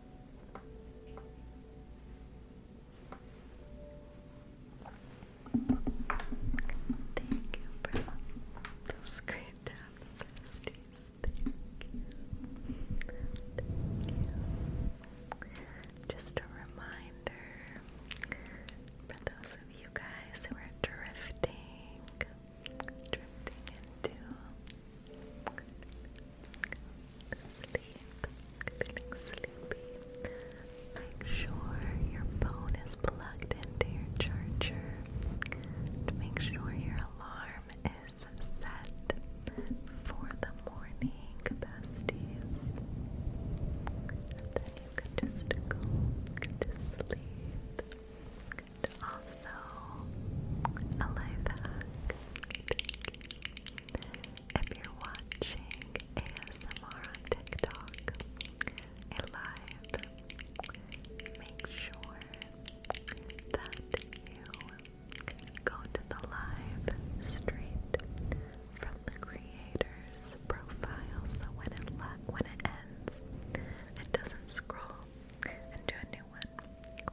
Thank you Just a reminder for those of you guys who are drifting, drifting into sleep, feeling sleepy, make sure your phone is plugged into your charger. make sure your alarm is set for the morning besties. Then you can just go to sleep also a life hack. If you're watching ASMR TikTok, a live, make sure that you go to the live straight from the creator's profile so when it, when it ends, it doesn't scroll into a new one.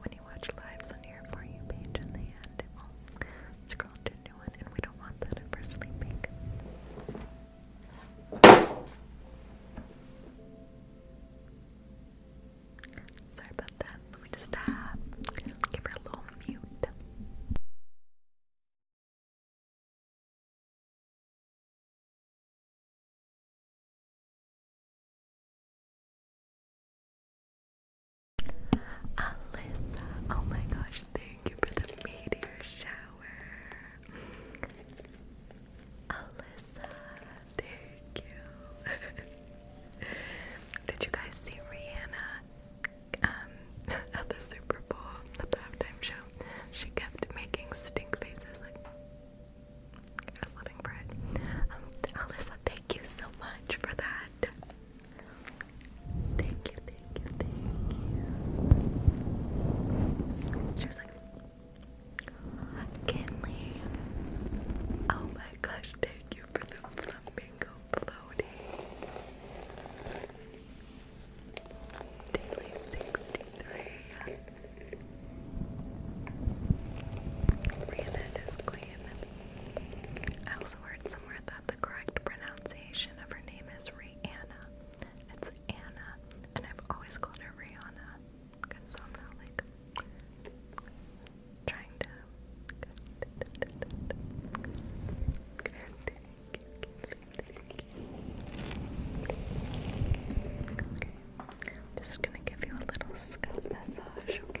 When you watch lives on your For You page in the end, it will scroll to a new one, and we don't want that if sleeping. Sorry about that. Let me just uh, give her a little mute. Alyssa, oh my gosh, thank you for the meteor shower. Alyssa, thank you. *laughs* Did you guys see Rihanna um, *laughs* at the Super Bowl, at the halftime show? She kept making stink faces I was living for um, Alyssa, thank you so much for that. Thank you, thank you, thank you. She was like, Kinley. Oh my gosh, thank you for the flamingo floating. Daily 63. Rena is clean I also heard somewhere that the correct pronunciation of her name is Rihanna. It's Anna, and I've always called her Rihanna because I'm not like trying to. just gonna give you a little scalp massage, Okay.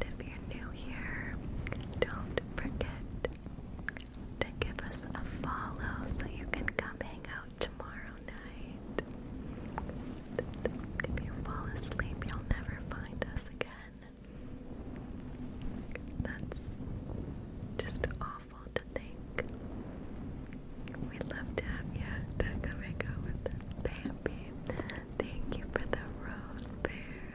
if you're new here, don't forget to give us a follow so you can come hang out tomorrow night. If you fall asleep, you'll never find us again. That's just awful to think. we love to have you to come with us, baby. Thank you for the rose bear.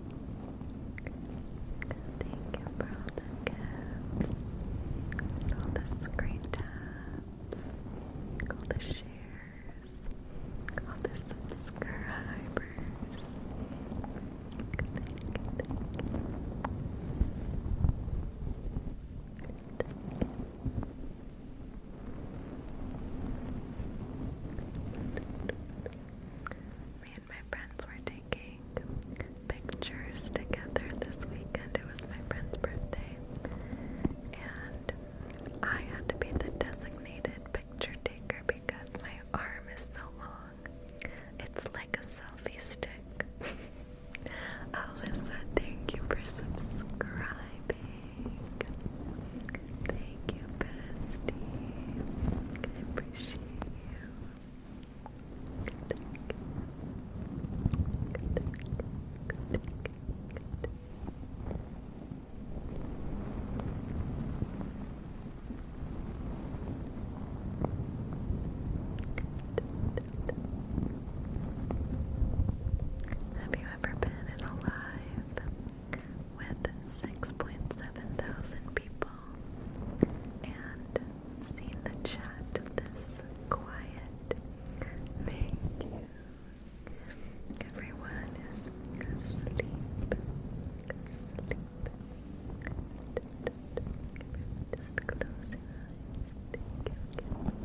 Thank you for all the gifts, all the screen taps, all the shares, all the subscribers. Me and my friends were taking pictures together this weekend. It was my friend's birthday. And I had to be the designated picture taker because my arm is so long. It's like a selfie stick. *laughs* Alyssa, thank you for subscribing. Thank you, bestie. I appreciate you. Have you ever been in a live with 6.7 thousand people? and seen the chat this quiet vacuum. Everyone is asleep. Asleep. Just close your eyes. Thank you.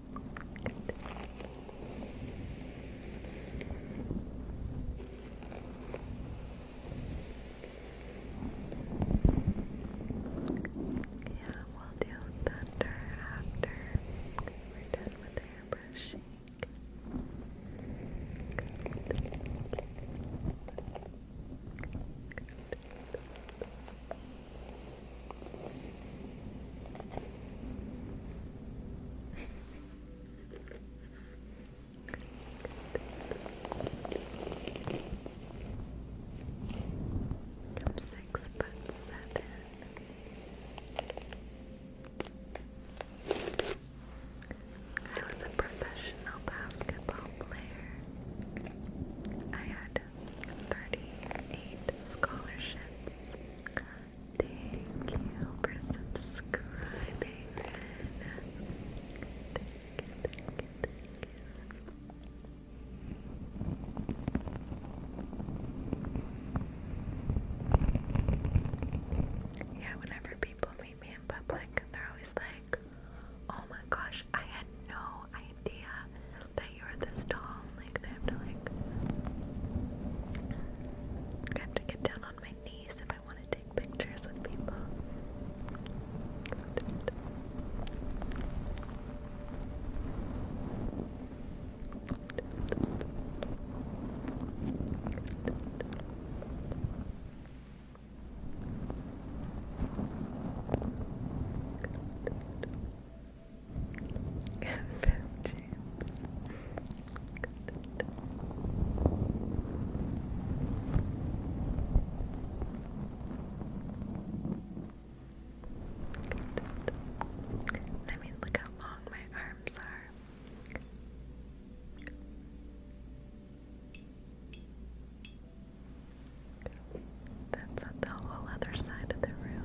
Yeah, we'll do thunder after we're done with hair brushing. I'm six foot seven. I was a professional basketball player. I had 38 scholarships Thank you for subscribing. Yeah, whenever people meet me in public, they're always like, oh my gosh, I had no idea that body or this tall. Like they have to like I have to get down on my knees if I want to take pictures with people. I mean, look how long my arms are. That's at the whole other side of the room.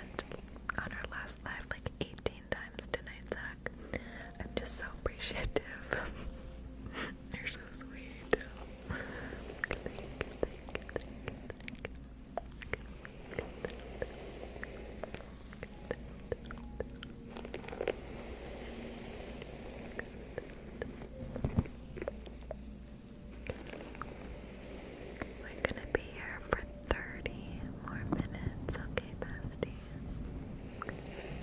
on our last live like 18 times tonight, Zach. I'm just so appreciative. You're so sweet. thank you. We're gonna be here for 30 more minutes, okay, besties?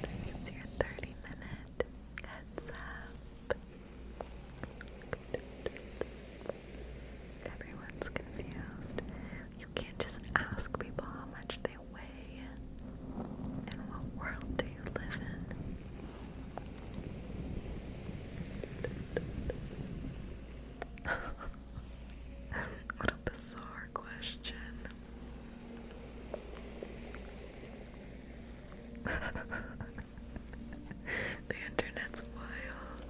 This is your 30 minute heads up. Everyone's confused. You can't just ask people how much they weigh. In what world do you live in? *laughs* what a bizarre question. *laughs* the internet's wild.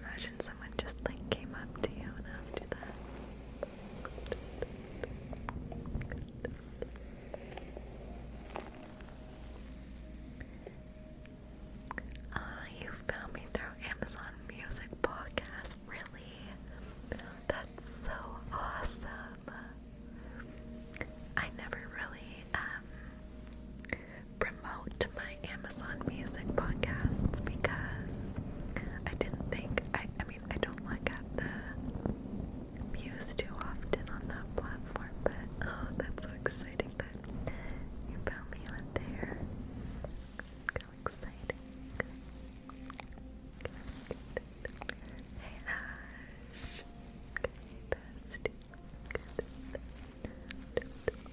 Imagine someone just like came up to you and asked you that. Ah, you found me through Amazon Music Podcast, really? That's so awesome. I never really um, promote my Amazon Music podcasts because I didn't think I I don't look at the views too often on that platform, but oh, that's so exciting that you found me on there. How exciting. Hey Ash.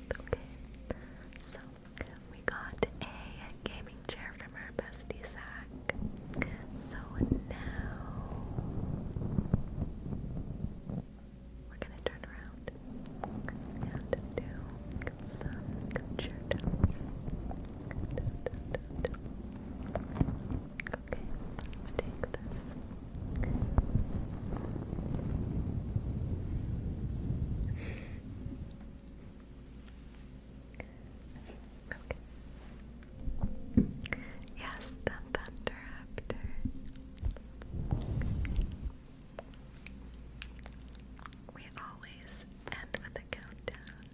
Okay. So we got a gaming chair from our bestie Zach. So now we're gonna turn around and do some chair tops. Okay, let's take this. Yes, the Thunderaptor. Yes. We always end with a countdown.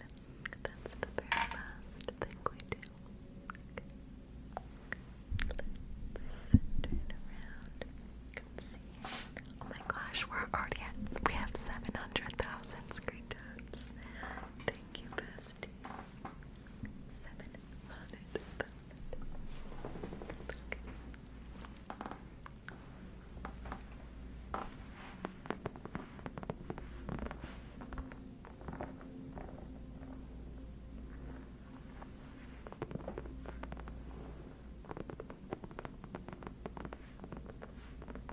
That's the very last thing we do. turn around. can see. Oh my gosh, we're already at. We have seven hundred thousand screen Thank you, besties. Seven hundred thousand. Okay.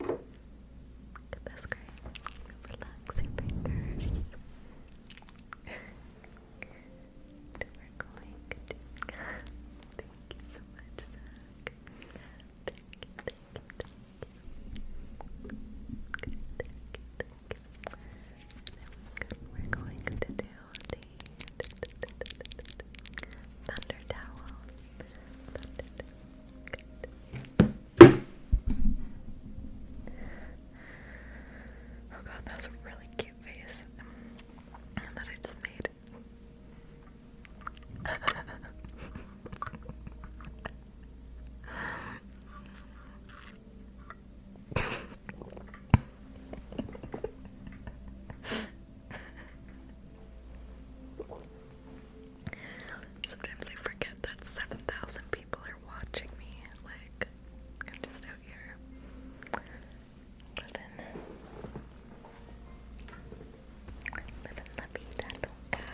Look at this great. Relax your fingers. we're going to thank you so much, Zach. We're going to do thunder towel. Good. Oh god, that's a really cute face that I just made. *laughs* Sometimes I forget that 7,000 people are watching me. Like, I'm just out here living. Living la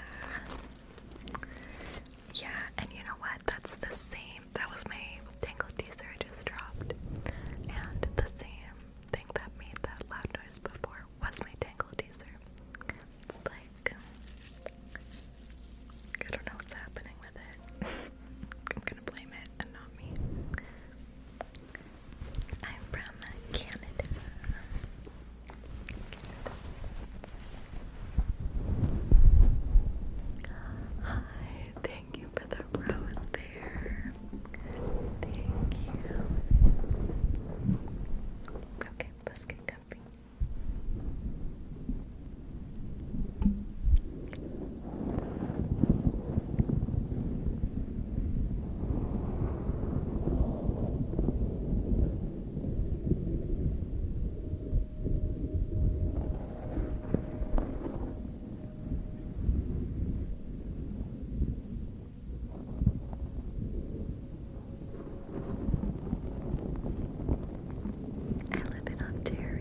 Yeah, and you know what? That's the same. That was my tangle teaser I just dropped. And the same thing that made that loud noise before was my it's like, I don't know what's happening with it. *laughs* I'm gonna blame it and not me. I'm from Canada. Hi, thank you for the rose bear. Thank you. Okay, let's get comfy. I live in Ontario.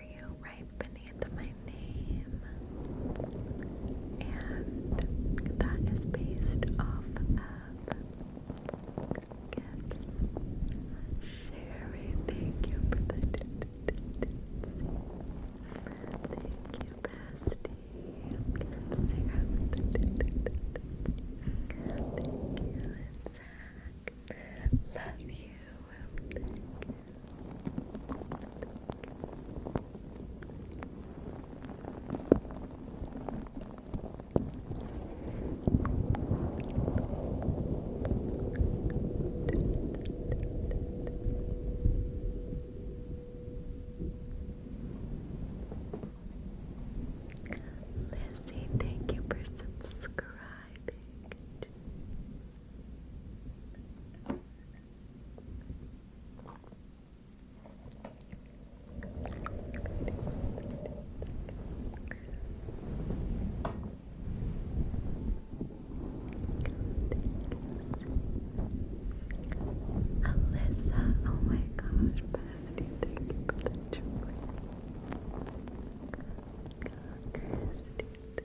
you right beneath my name. And that is based off of gifts. Sherry, thank you for the see. Thank you, bestie. Sarah. Thank you, and Love Thank you. for subscribing. Thank you. Alyssa, oh my gosh, Felicity, thank you for the joy. Christy,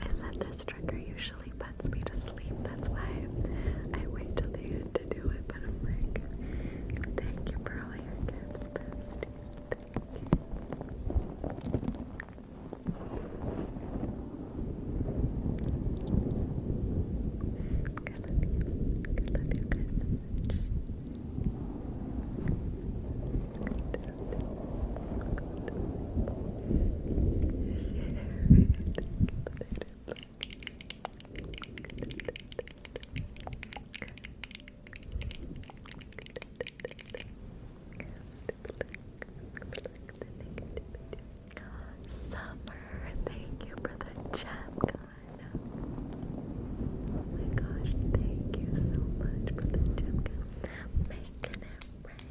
I said this trigger usually puts me to sleep. That's why I wait till the end to do it. But I'm like, thank you for all your gifts, bestie. Thank I love you. guys so much. Summer, thank you for the Oh my gosh, thank you so much for the Making it rain.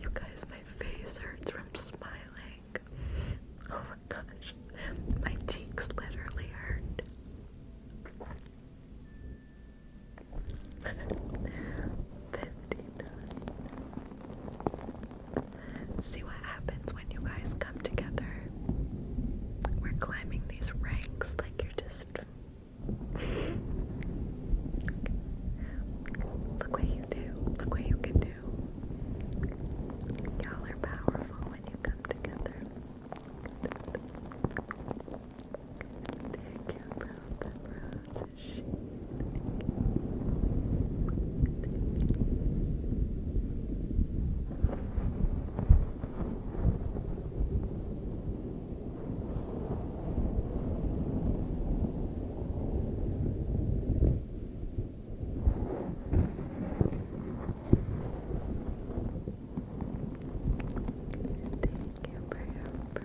You guys, my face hurts from smiling. Oh my gosh. My cheeks literally hurt. Fifty-nine. See what happens when you guys come together. We're climbing these ranks like you're just. *laughs* Look what you do. Look what you can do. Y'all are powerful when you come together. Thank you, love the She... Thank you for your first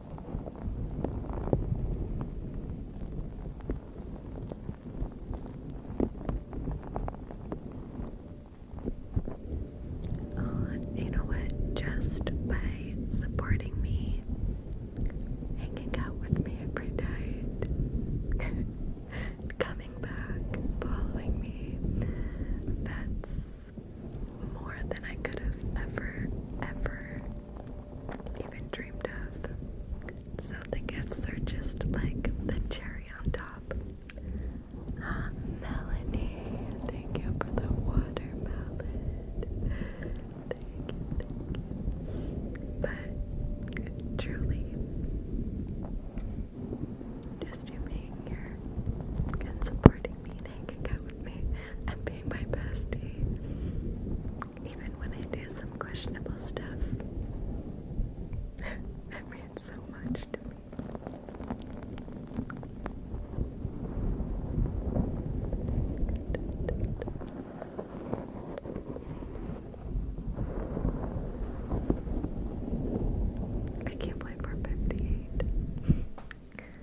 Oh, you know what? Just by supporting me, hanging out with me every night, *laughs* coming back, following me, that's more than I could have ever, ever even dreamed of. So the gifts are just like the cherry on top. Ah, Melanie, thank you for the watermelon. But truly, just you being here and supporting me and being my bestie, even when I do some questionable stuff. *laughs* it means so much to me. I can't believe we're 58. *laughs*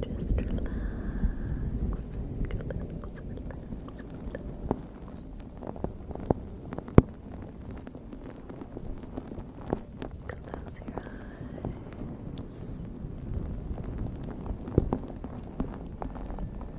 Just relax, relax, relax, relax. Close your eyes.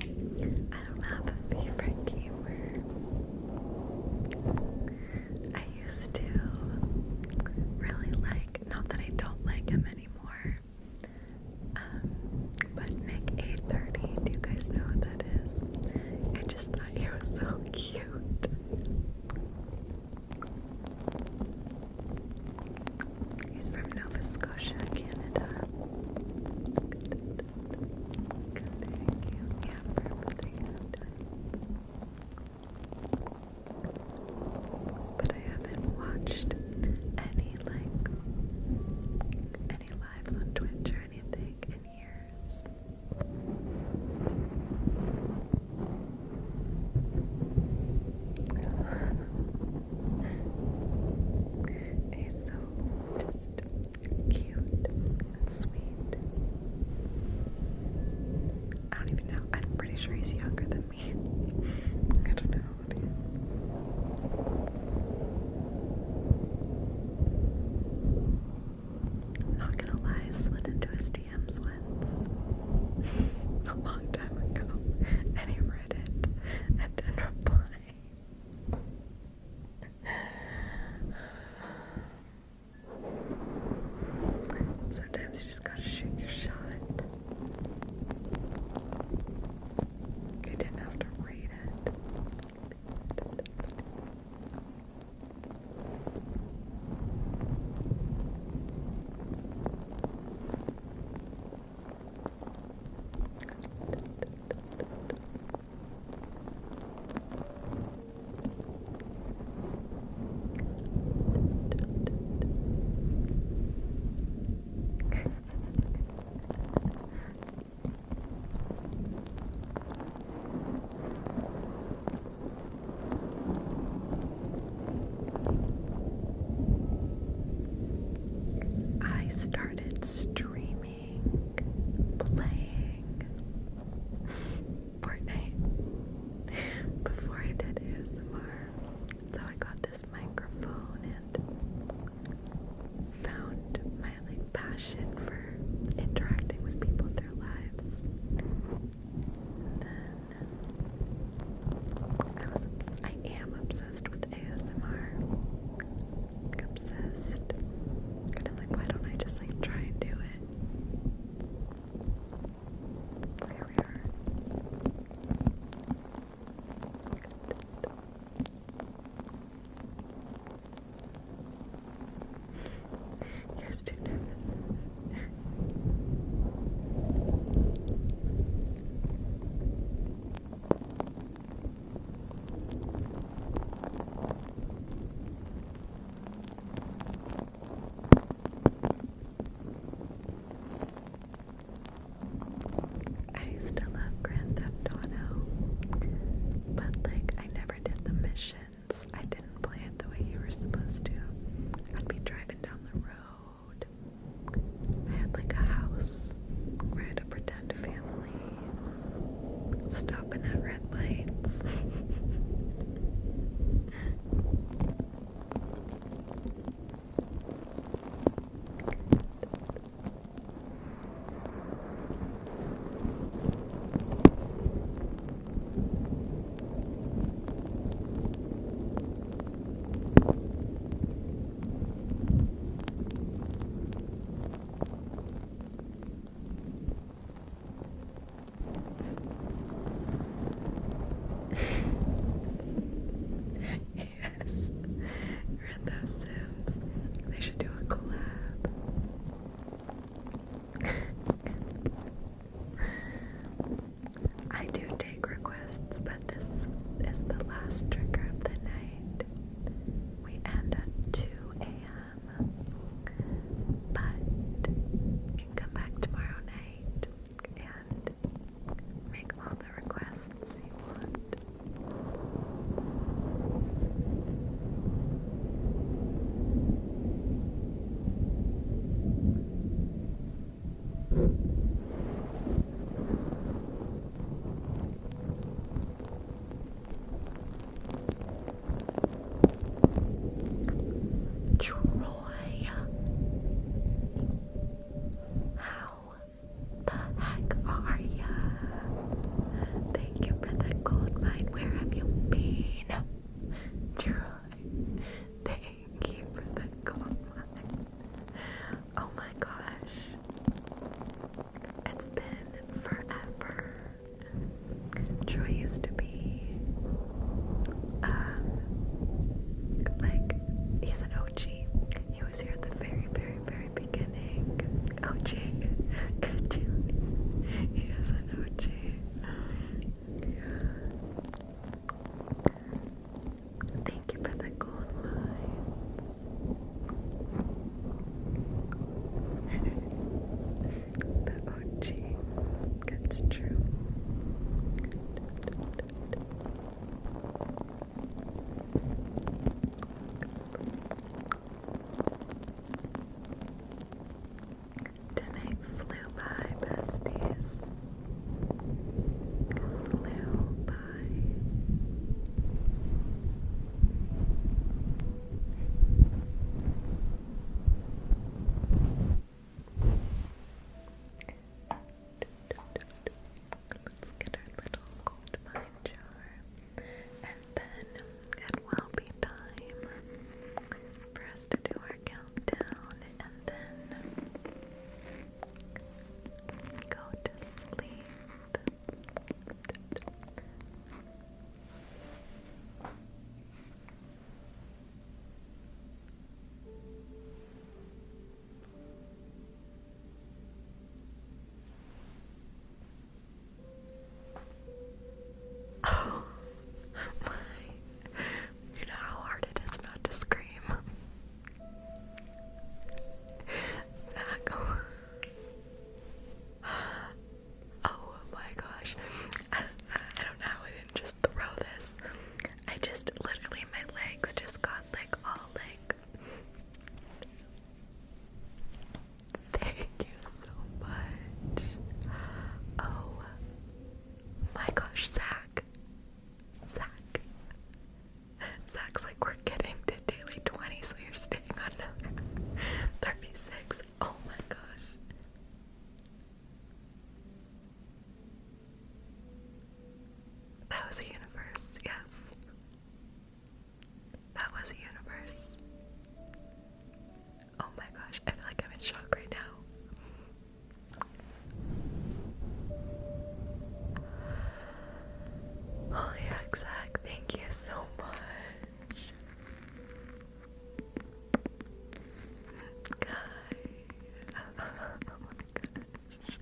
I don't have a favorite gamer. I used to really like, not that I don't like him anymore, um, but Nick a do you guys know who that is? I just thought he was so cute. He's from Nova Scotia, Canada. But I haven't watched any like any lives on Twitch or anything in years. He's *laughs* so just cute and sweet. I don't even know. I'm pretty sure he's younger than me. *laughs* I don't know I'm not gonna lie, slid into his DMs once. *laughs* A long time ago. And he read it and didn't reply. Sometimes you just gotta shoot your shot. You didn't have to read it. I started streaming playing, playing Fortnite before I did ASMR. So I got this microphone and found my like passion for interacting with people in their lives. then I was I am obsessed with ASMR obsessed. Kind of like, why don't I just like try and do it? There we are. too nervous. I still love Grand Theft Auto, but like I never did the missions. I didn't play it the way you were supposed to. I'd be driving down the road. I had like a house where had a pretend family, Stopping at red lights yes, we're in those Sims. They should do a collab. I do take requests, but this is the last trigger of the night. We end at 2 a.m. But you can come back tomorrow night and make all the requests you want. Troy. How the heck are ya? Thank you for the gold Where have you been? Troy. Thank you for the gold Oh my gosh. It's been forever. Troy used to be, um, like, he's an OG. He was here at the very, very, very beginning. OG, good *laughs* He is an OG. Thank you for the gold mines the OG gets true. Tonight flew by, besties. Flew by. Let's get our little gold jar, and then it will be time for us to do our countdown and then go to sleep. Oh my. You know how hard it is not to scream. Zach. Oh my gosh. *laughs* I, don't know I didn't just throw this. I just literally, my legs just got like all like. Thank you so much. Oh my gosh, Zach. Zach. Zach's like, we're getting to daily 20, so you're staying on another *laughs* 36. Oh my gosh. That was a universe, yes. That was a universe. Oh my gosh, I feel like I'm in shock right now. Holy Zach, thank you so much. Guy. Oh, my gosh.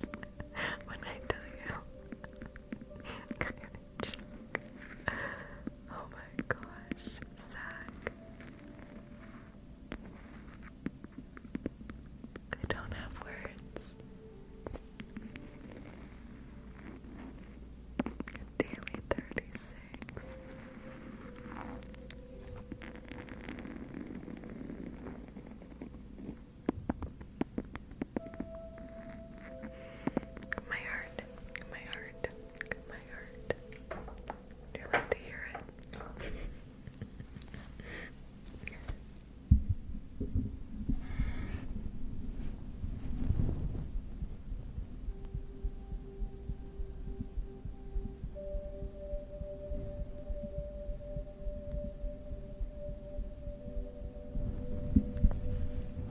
When I tell you. *laughs* oh my gosh. I don't have words. Daily 36. My heart, my heart, my heart. you like to hear it?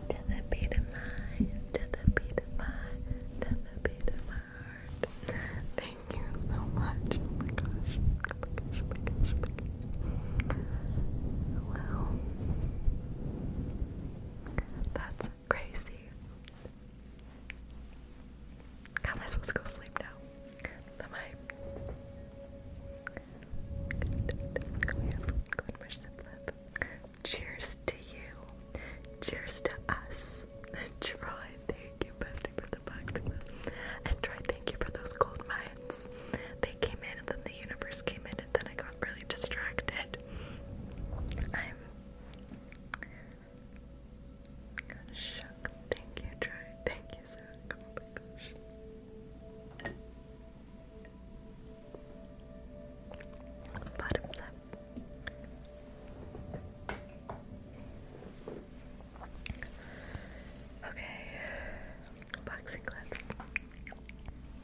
To the beat of my, to the beat of my, to the beat of my heart. Thank you so much. Oh my gosh. Oh oh oh well, that's Crazy. How am I supposed to go to sleep now? Am I? Cheers to you. Cheers to us. And Troy, thank you, bestie, for the box of this. And Troy, thank you for those gold mines. They came in and then the universe came in and then I got really distracted. I'm Kind Thank you, Try. Thank you, Zach. Oh Bottoms up. Okay, boxing gloves.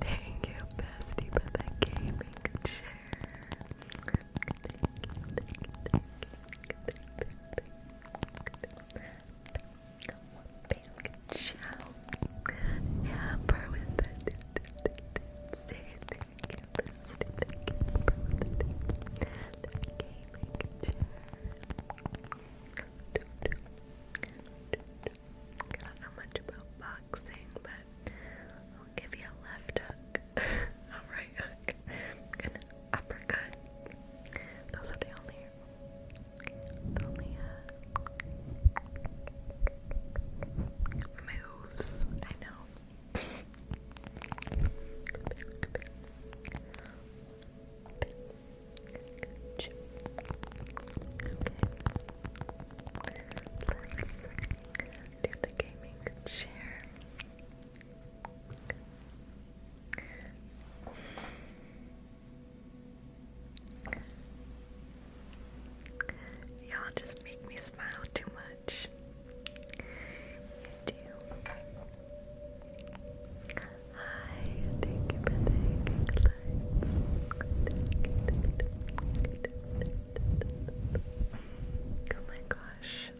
Thank you, bestie, for the gaming chair. Ciao. Never with the say I don't know much about boxing, but I'll give you a left hook, a right hook, an uppercut. Those are the only, moves I know do the gaming chair. Y'all just make me smile too much. Hi, thank you for the hanging lights. Oh my gosh.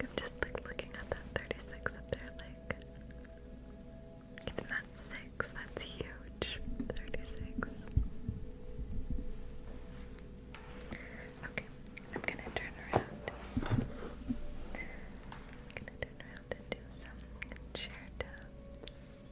I'm just like looking at that 36 up there like even that six, that's huge. 36. Okay, I'm gonna turn around. I'm gonna turn around and do some chair tubs.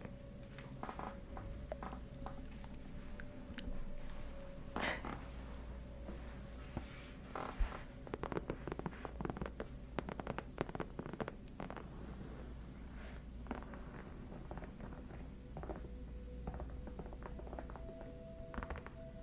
*laughs*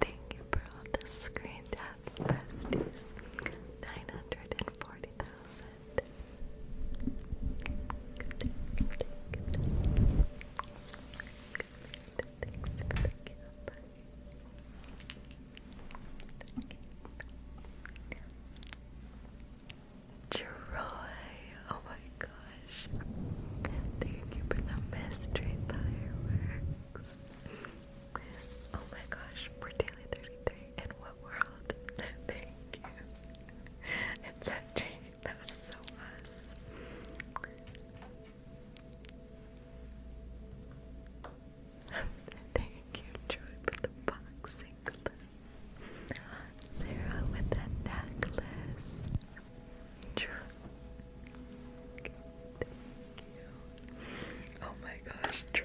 Thank you for all the screen taps, besties. 940,000. Troy, oh my gosh. Thank you for the mystery fireworks. Oh my gosh, we daily 33 in what world? *laughs* Thank you. It's a change. That was so us. *laughs* Thank you, Troy, for the boxing Sarah with the necklace. thank you. Oh my gosh, Troy.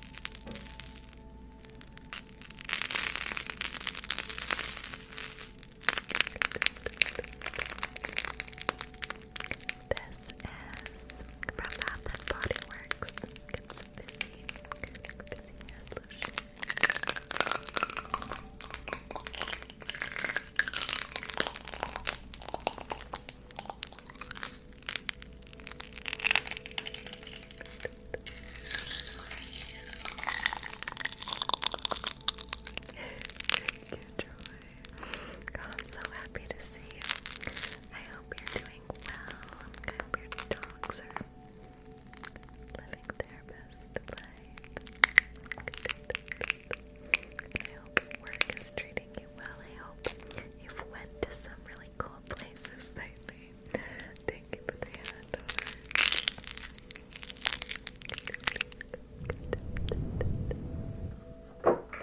This is from Bath and Body Works. It's busy, busy head lotion. Thank you, I'm so happy to see you. I hope you're doing well. I hope your dogs are living their best life. I hope work is treating you well. I hope you've went to some really cool places lately. Thank you for the hand Bridget,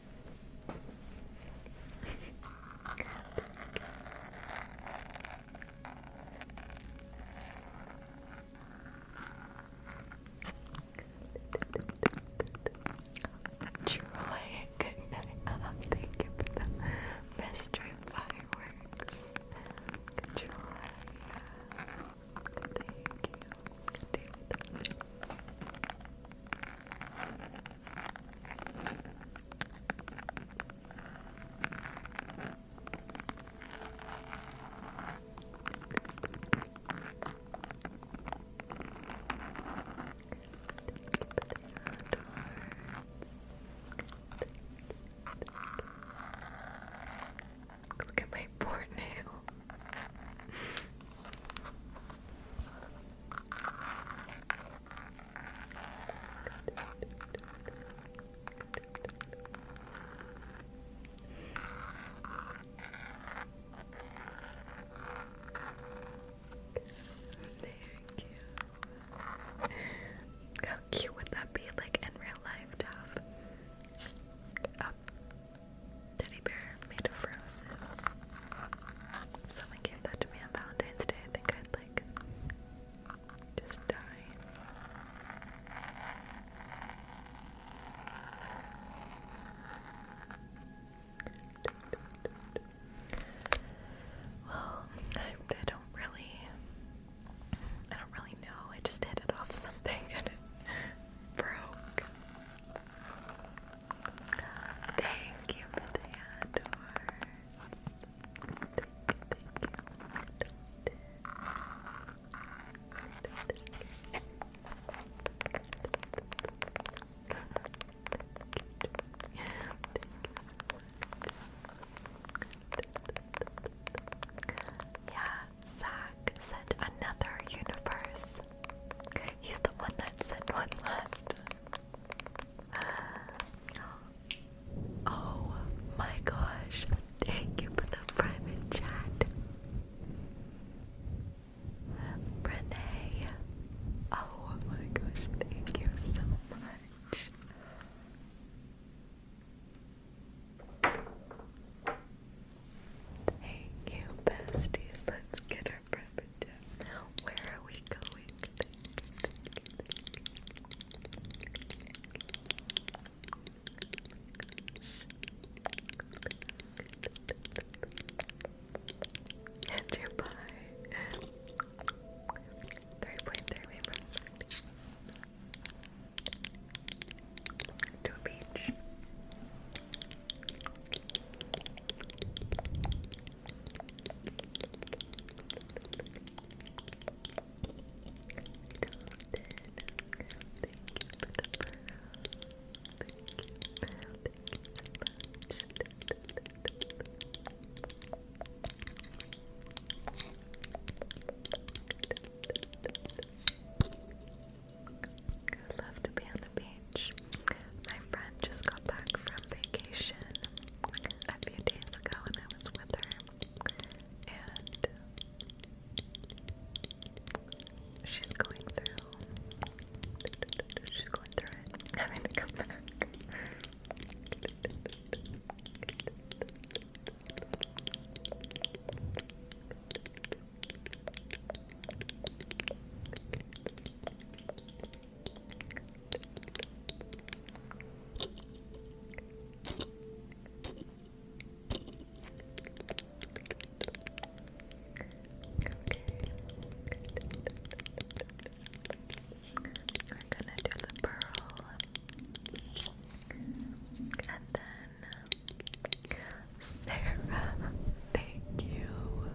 Troy, good night. Oh, thank you for the mystery fireworks. Troy, thank you. Thank you. Look at my port how cute would that be, like in real life, to teddy bear made of roses. someone gave that to me on Valentine's Day, I think I'd like just die. Well, I don't really, I don't really know. I just hit it off something *laughs* and it broke. Thank you for the adorns. Yeah, Zach said another universe. He's the one that said one last uh, Oh my gosh. Thank you for the private chat. Renee. Oh my gosh, thank you so much. Thank you, besties. Let's get her where are we going? And your 3.3 To a beach. I love to be on the beach. My friend just got back from vacation a few days ago and I was with her and she's going through she's going through it. Having *laughs* to come back. We're gonna do the pearl and then Sarah. Thank you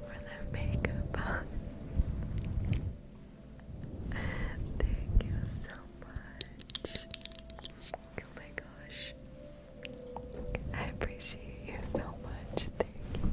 for the makeup. Thank you so much. Oh my gosh. I appreciate you so much. Thank you,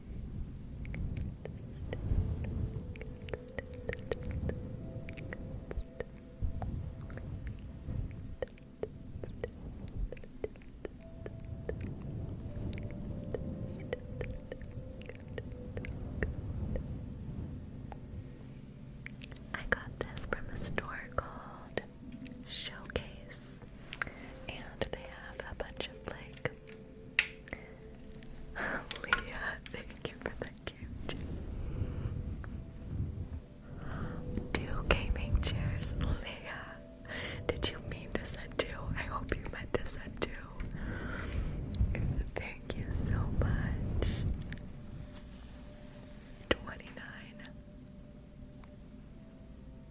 I got this from a store called Showcase, and they have a bunch of like Leah, thank you for the gift. Two gaming chairs, Leah. Did you mean to send two? I hope you meant to send two. Thank you so much. 29.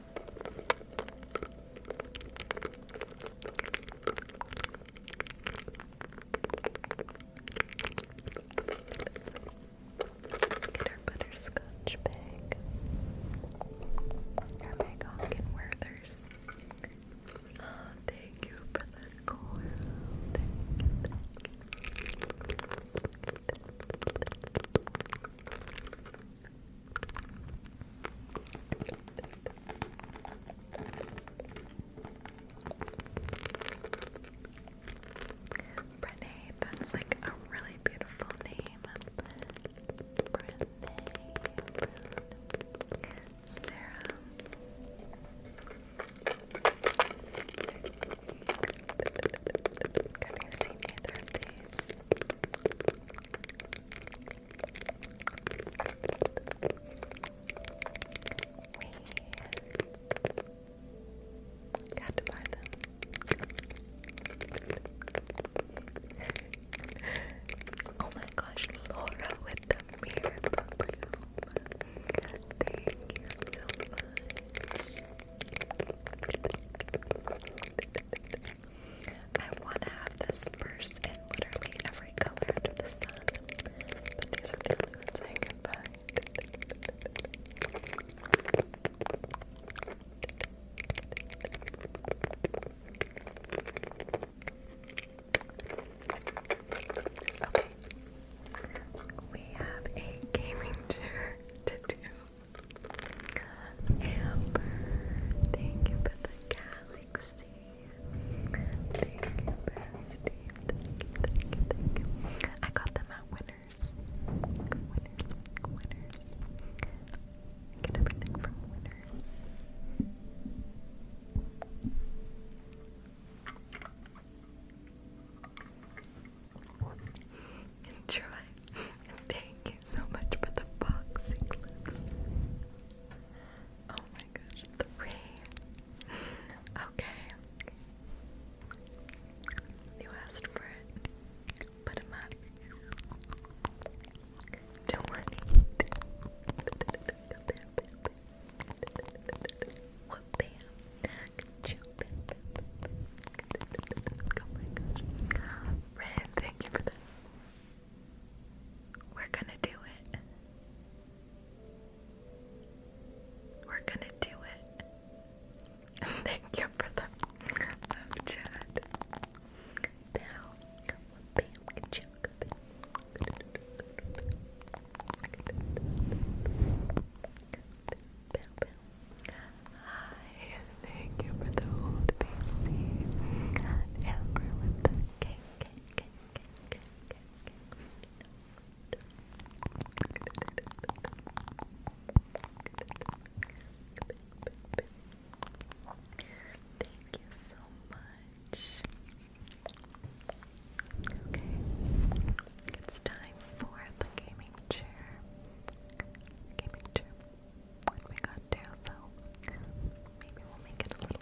Let's get our butterscotch bag. Our bag Hawken Werther's. Oh, ah, thank you for the thank you. Renee, that's like a really beautiful name. Renee, Sarah. Have you seen either of these? *laughs* oh my gosh, Laura with the mirror Thank you I want to have this purse in literally every color under the sun, but these are the only Okay. We have a gaming chair to do. Amber, thank you the galaxy. Thank you, I got them at Winners. Winners, Winners. get everything from Winners. Enjoy. Thank you so much for the boxing Oh my gosh, three. Okay. You asked for it. Put up. Don't worry. What bam? Oh my gosh. Ren, thank you for that. We're gonna do it. We're gonna do it. *laughs* Thank you for the love chat. Now, bam, Hi, *laughs* thank you for the old PC. Amber with the cake. Thank you so much. Okay, it's time for the gaming chair. Gaming chair. We got two, so maybe we'll make it a little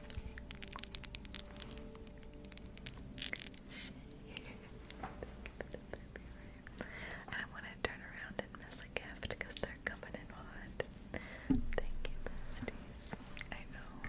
I want to turn around and miss a gift they're coming in hot. Thank you, besties. I know.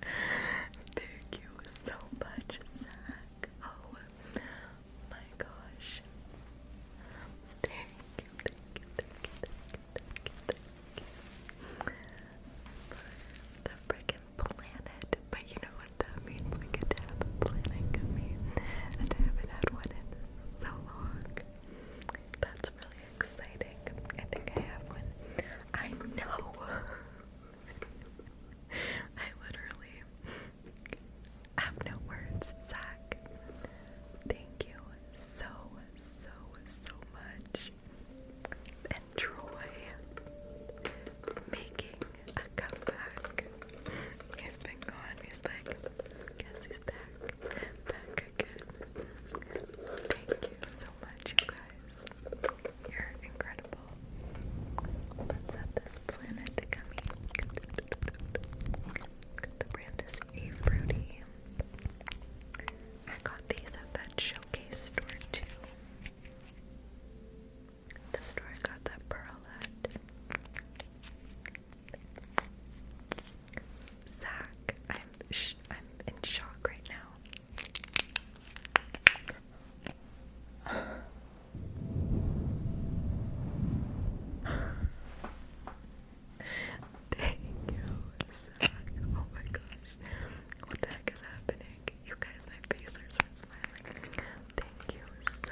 *laughs* Thank you so much, Zach. Oh my gosh. the freaking planet. But you know what that means? We get to have a planet coming. And I haven't had one in so long. That's really exciting. I think I have one. I know. *laughs* I literally have no words, Zach. Thank you so, so, so much. And making a comeback. He's been gone. He's like, guess he's back. Back again. Thank you so much, guys. You're incredible. Let's this planet The brand is A Fruity. I got these at that showcase store too. The store got that pearl Zach, I'm I'm in shock right now. Thank you, Zach. Oh my gosh. What the heck is happening? You guys, my face hurts from Thank you so much.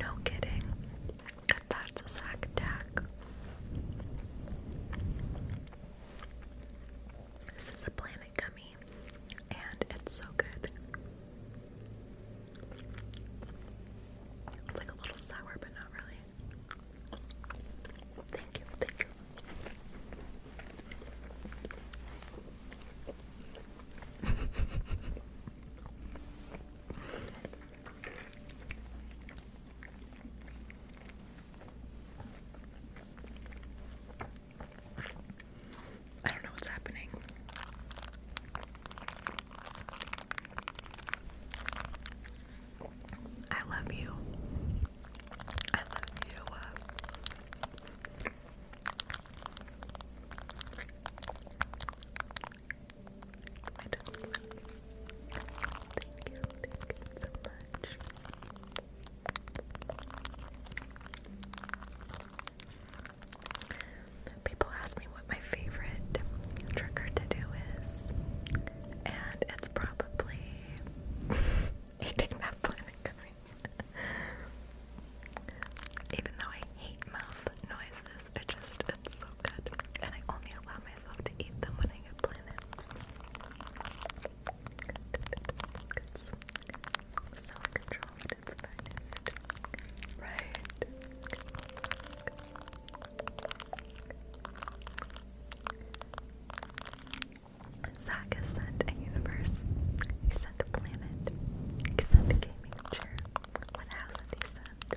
No kidding. Katharsis attack. This is a planet gummy, and it's so good. It's like a little sour, but not really. Thank you, thank you. *laughs* I don't know what's happening. I love you. I love you. Uh. Thank you, thank you so much. People ask me what my favorite trigger to do is, and it's probably *laughs* eating that planet *laughs* Even though I hate mouth noise, I just, it's so good. And I only allow myself to eat them when I get planets. self-control its finest. Right. Zach sent a universe. He sent a planet. He sent a gaming chair. What hasn't he sent?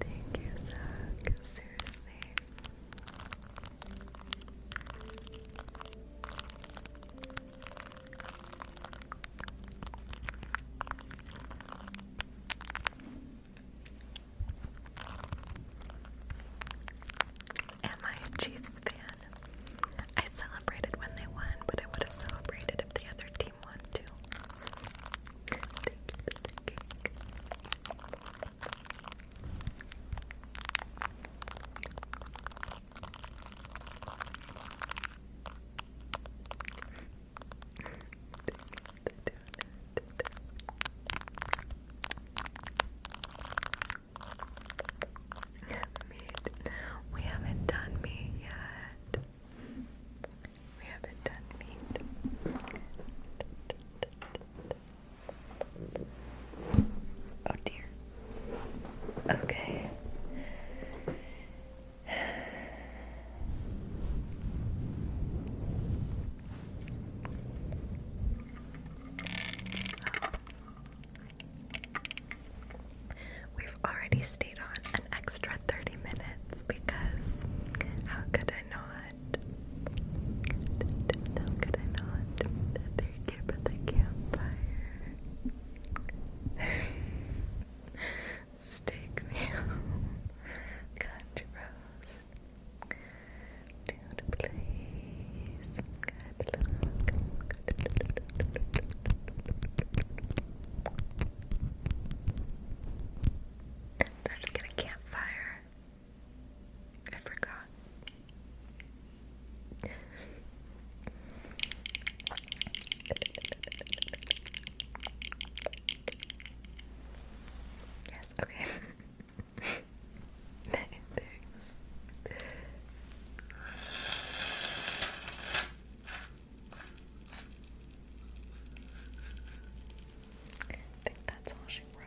Thank you, Zach. Seriously. Am I a Chiefs fan? I celebrated when they won, but I would have celebrated if the other team won too. meat. We haven't done meat yet. We haven't done Oh dear. Okay. We've already stayed on an extra 30 minutes because how could I not? How could I not? Thank you for the campfire. Steak meal. Country roast. Dude, please. Good did I just get a campfire? I forgot. yes, okay. *laughs* Thanks. I think that's all she wrote.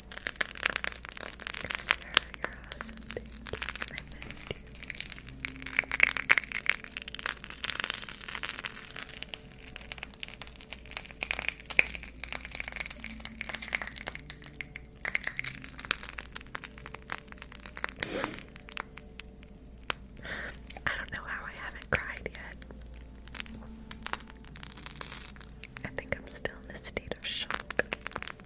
I don't know how I haven't cried yet. I think I'm still in a state of shock.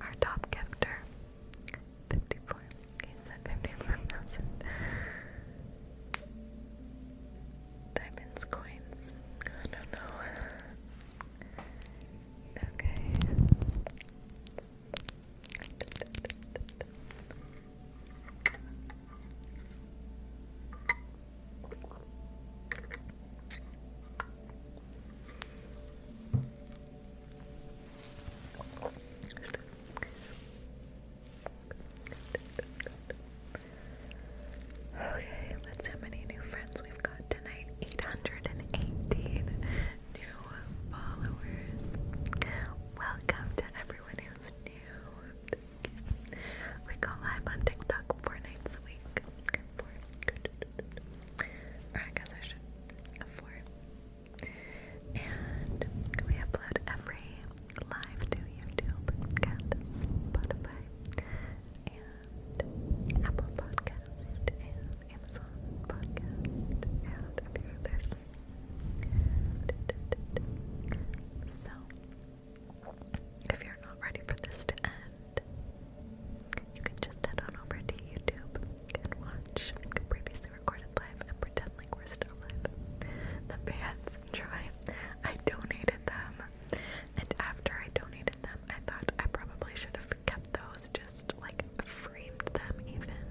Our top gifter, 54. He said 54,000. Diamonds, coins. I don't know. Okay. Okay, let's see how many new friends we've got tonight. 818 new followers. Welcome to everyone who's new. We go live on TikTok four nights a week. Or I guess I should And we upload every live to YouTube and Spotify and Apple Podcast and Amazon Podcast and a few others. So if you're not ready for this to end, you can just head on over to YouTube and watch previously recorded live and pretend like we're still live. The bands try. I donated them, and after I donated them, I thought I probably should have kept those, just like framed them even.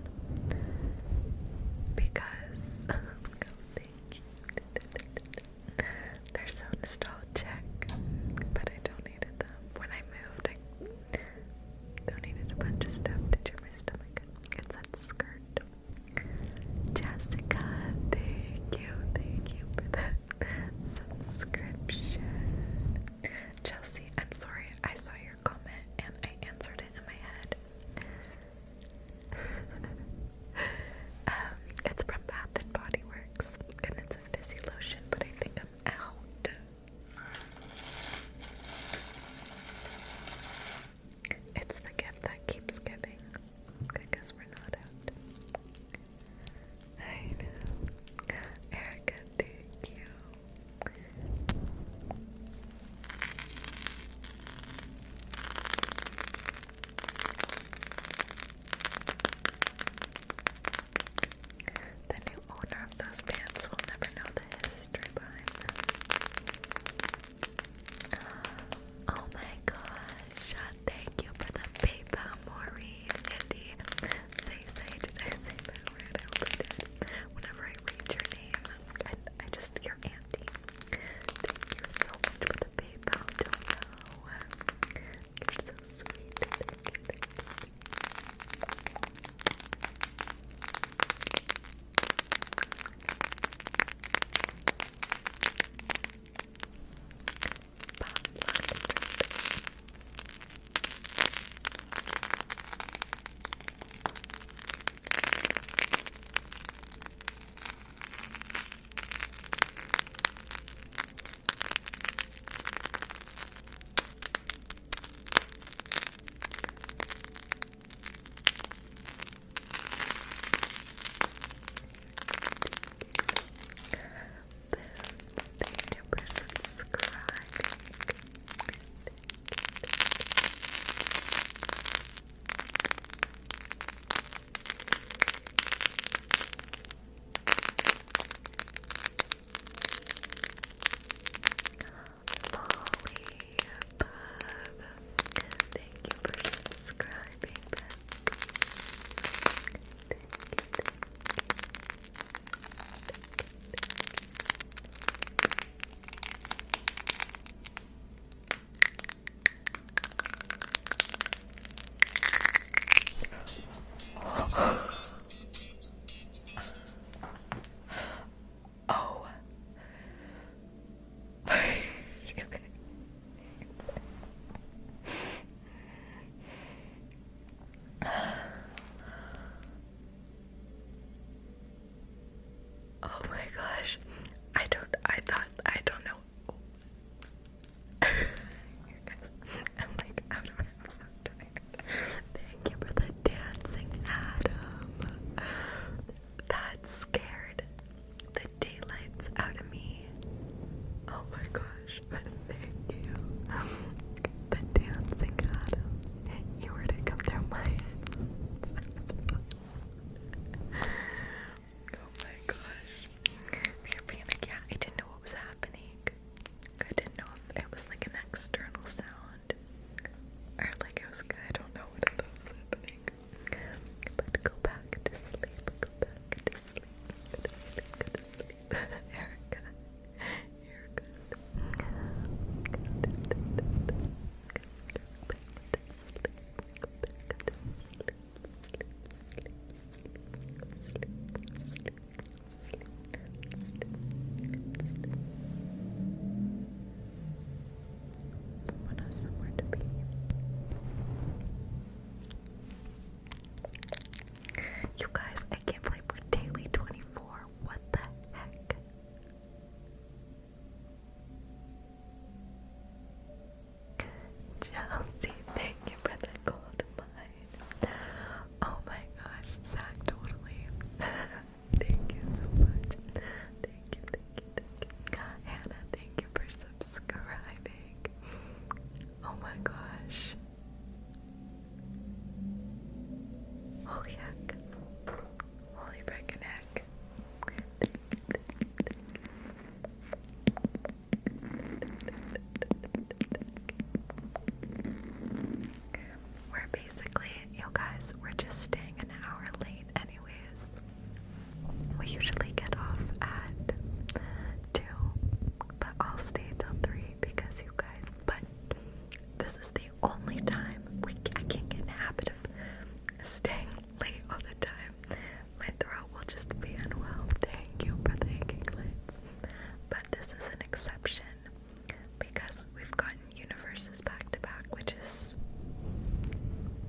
Because, *laughs* oh, *laughs* They're so check, but I donated them. When I moved, I donated a bunch of stuff to cheer my stomach. It's that skirt. Jessica, thank you, thank you for that subscription. Chelsea, I'm sorry, I saw your comment and I answered it in my head. Um, it's from Bath and Body Works, and it's a fizzy lotion, but I think I'm out. It's the gift that keeps giving. I guess we're not out. I know. Erica, thank you. The new owner of those pants will never know the history behind them. Oh my gosh, thank you for the paper, Maureen, Indy. Say, say, did I say that word? I hope I did. Whenever I read your name, I, I just, your auntie. Thank you so much for the PayPal You're so sweet. you, thank you. Thank Thank you for subscribing. Thank Thank you for subscribing, oh. Oh my gosh. I don't I thought I don't know Thank you for the dancing, Adam. That scared the daylights out of me. Oh my gosh. Thank you. The dancing, Adam. You were to come through my head. Oh my gosh. Pure panic. Yeah, I didn't know what was happening. I didn't know if it was like an external sound or like it was good. I don't know what it was happening. But go back to sleep. Go back to sleep. Go to sleep. Go to sleep. *laughs* Erica. You're good. Go to sleep. Go back to sleep. Go back to sleep. Someone You guys, I can't believe we're daily 24. What the heck? Chelsea, thank you for the gold mine. Oh my gosh, Zach, totally. *laughs* thank you so much. Thank you, thank you, thank you. Hannah, thank you for subscribing. Oh my gosh. Holy heck. Holy freaking heck. We're basically, you guys, we're just staying an hour late, anyways. We usually get off at 2, but I'll stay till 3 because you guys, but this is the only time we, can get in the habit of staying late all the time my throat will just be unwell. Thank you for the aching lids. But this is an exception because we've gotten universes back to back, which is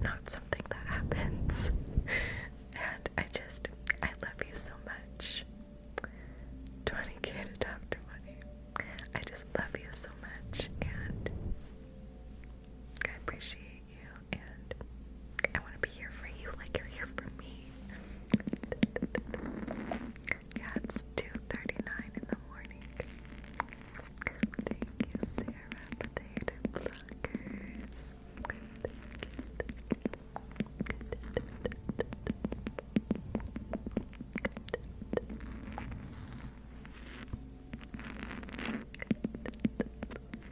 not something that happens. *laughs* and I just, I love you so much. 20k to Dr. Money. I just love you so much and I appreciate and I want to be here for you like you're here for me. yeah, it's 2.39 in the morning. Thank you, Sarah, potato blockers.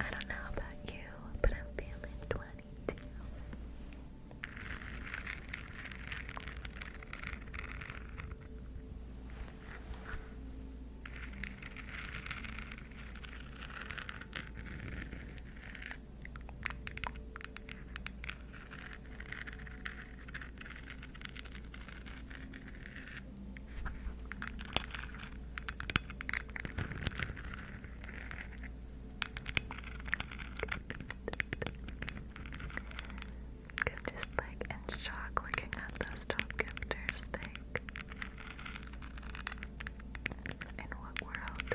I don't know about you, but I'm feeling 22. I'm just like in shock looking at those top gifters. Like, in what world?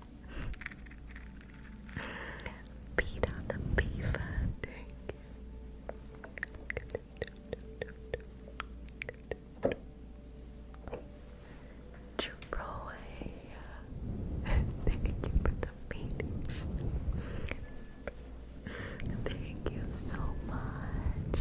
Peter the Beaver, thank you. Troy, thank you for the finish. Thank you so much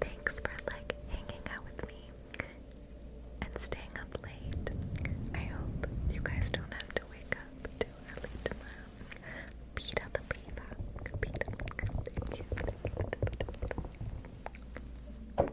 Thanks for like hanging out with me and staying up late. I hope you guys don't have to wake up too early tomorrow. Pita the pita. Pita.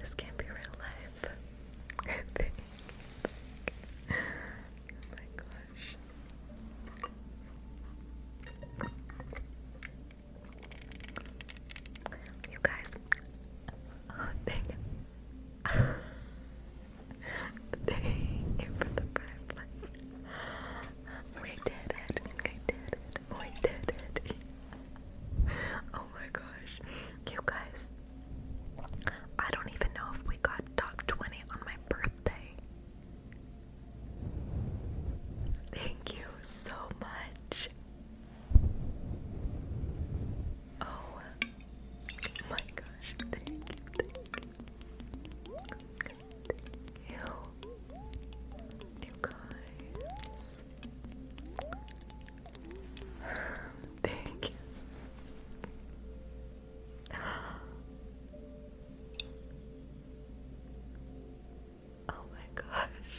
This can't be real life. *laughs* oh my gosh. You guys, oh, *laughs* dang. Thank you for the fireflies. We did it. We oh my gosh. You guys, I don't even know if we got top 20 on my birthday. Thank you so much. Oh Oh my gosh, thank you. Thank you. You guys. Thank *gasps* you. Oh my gosh.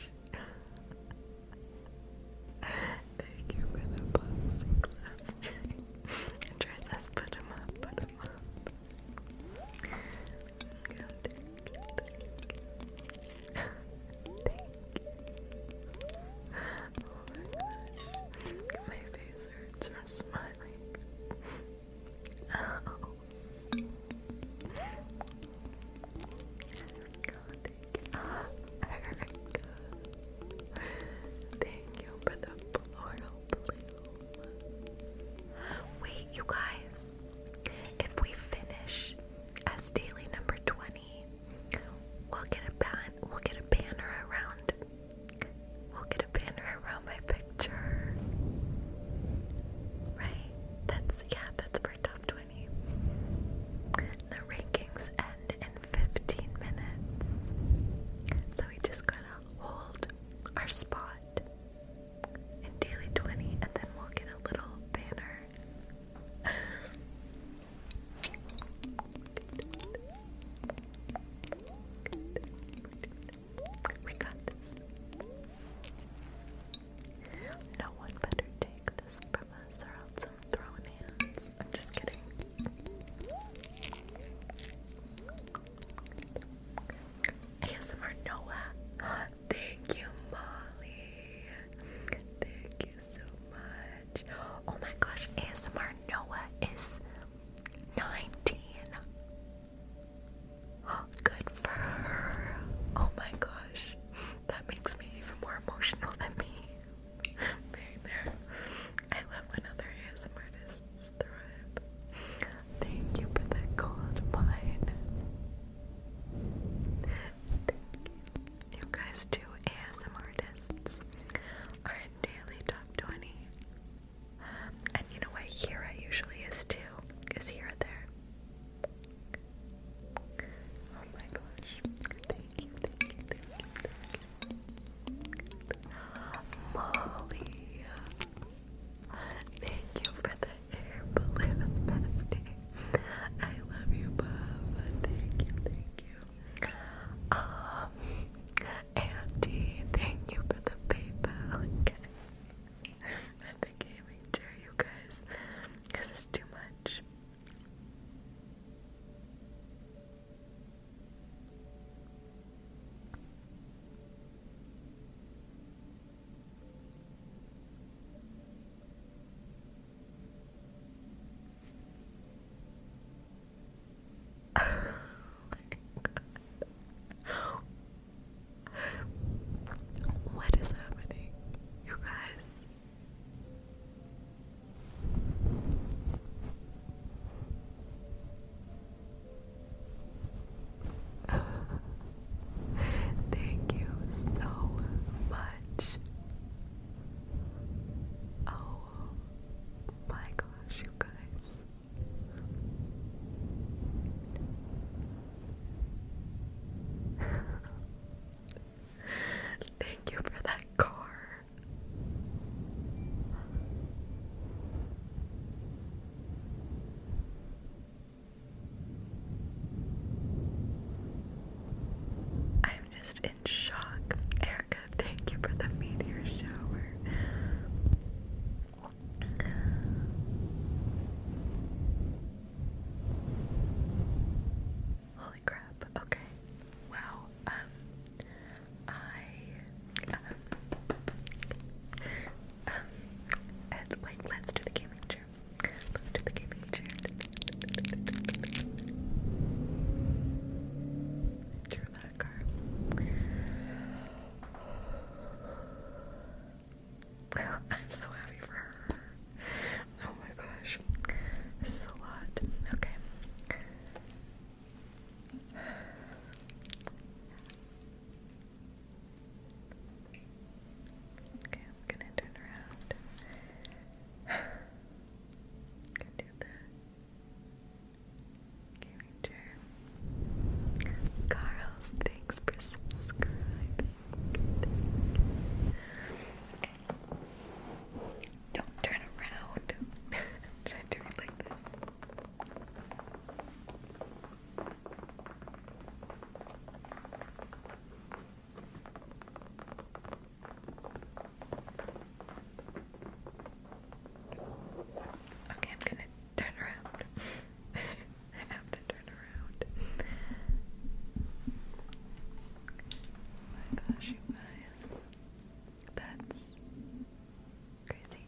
*laughs* Thank you for the boxing class *laughs* check. Try says put him up, put him up. Thank you, *laughs* *laughs* Oh my gosh. My face hurts smiling. Oh. thank you. Oh, Erica. *laughs* Thank you for the Wait, you guys. If we finish as daily number 20, we'll get a ban we'll get a banner around. We'll get a banner around my picture. Right? That's yeah, that's for top 20. The rankings end in 15 minutes. So we just gotta hold our spot in daily 20 and then we'll get a little banner. We got this. No one better take this from us or else I'm throwing hands. I'm just kidding. ASMR Noah. Thank you, Molly. Thank you so much. Oh my gosh, ASMR Noah is 19. *gasps* good for her. Oh my gosh. That makes me even more emotional than me. *laughs* there. I love when ASMR artists Thank you for the cold wine. You. you guys too, ASMR artists, are daily top 20. And you know what Hira usually is too? Is Hira there? Oh my gosh thank you, Molly, thank you for the air balloons, bestie. I love you, Bob. Thank you, thank you. Um, Auntie, thank you for the PayPal. Okay. the gaming too much what is happening, you guys? *laughs* Thank you so much. Oh my gosh, you guys. *laughs* Thank you for that car. I'm just in shock. Erica, thank you for the meteor shower. Holy crap. Okay. Wow. Um I um, um and, like let's do the gaming chair. Let's do the gaming chair. Drew that car. I'm so happy for her. Oh my gosh. This is a lot. Okay. Okay, I'm gonna turn around. Can do that. Okay, Ranger. Carlos, thanks for subscribing. Don't turn around. *laughs* Should I do it like this? Okay, I'm gonna turn around. *laughs* I have to turn around. Oh my gosh, you guys. That's Crazy.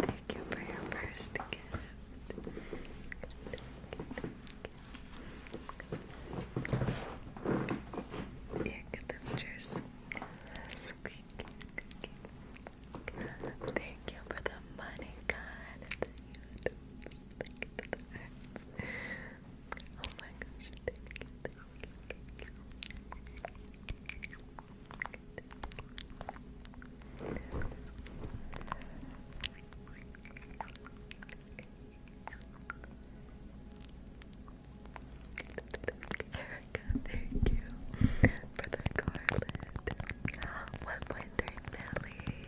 thank you for your first gift. Thank get this juice. Thank you for the money, God. Oh thank you Erica, thank you for the garland. 1.3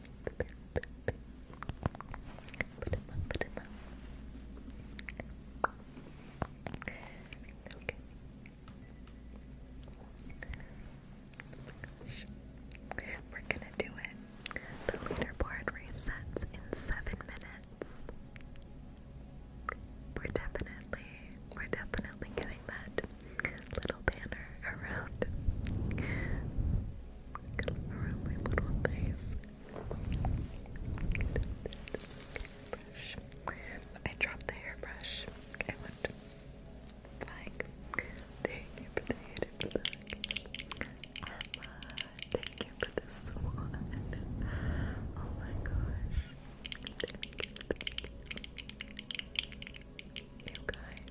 We're gonna do it. The leaderboard resets in seven minutes. We're definitely, we're definitely getting that little banner around, around my little face. I dropped the hairbrush. I went flying. Thank you for the hated flag. thank you for this one. Oh my gosh. thank you. you guys.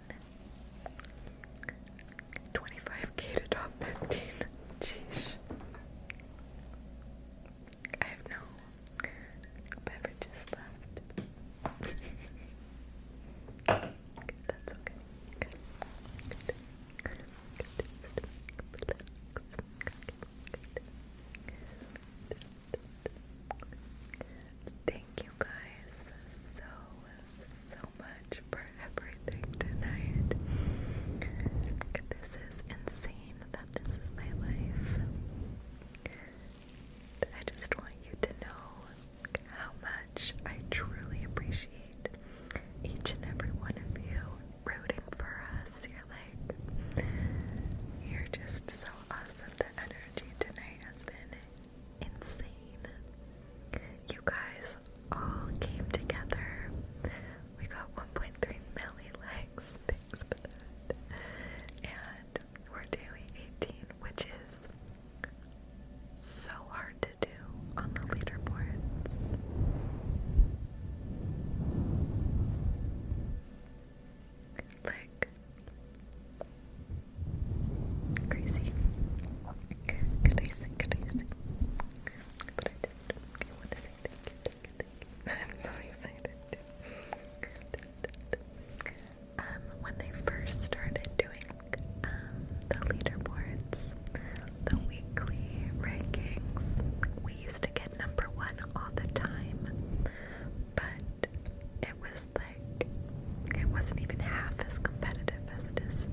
25k to top 15. Jeez. I have no beverages left. That's okay. Thank you guys so, so much for everything tonight. This is insane that this is my life. I just want you to know how much I truly appreciate each and every one of you rooting for us. You're like, you're just so awesome. The energy tonight has been insane. You guys all came together. We got 1.3 million likes. Thanks for that. And we're daily 18, which is so hard to do on the leaderboards. Like, Crazy. Crazy, crazy. But I just want to say I'm so excited *laughs* *laughs* Um, when they first started doing um, the leaderboards, the weekly rankings, we used to get number one all the time, but it was like it wasn't even half as competitive as it is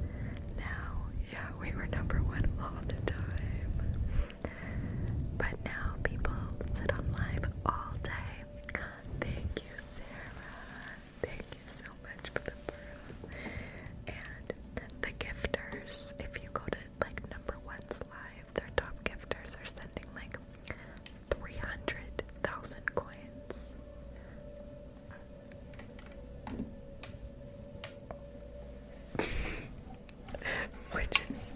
now. Yeah, we were number one all the time. But now people sit on live all day. Thank you, Sarah. Thank you so much for the brew. And the gifters, if you go to like number one's live, their top gifters are sending like 300,000 coins. *laughs* Which is,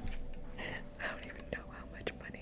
I don't even know how much money.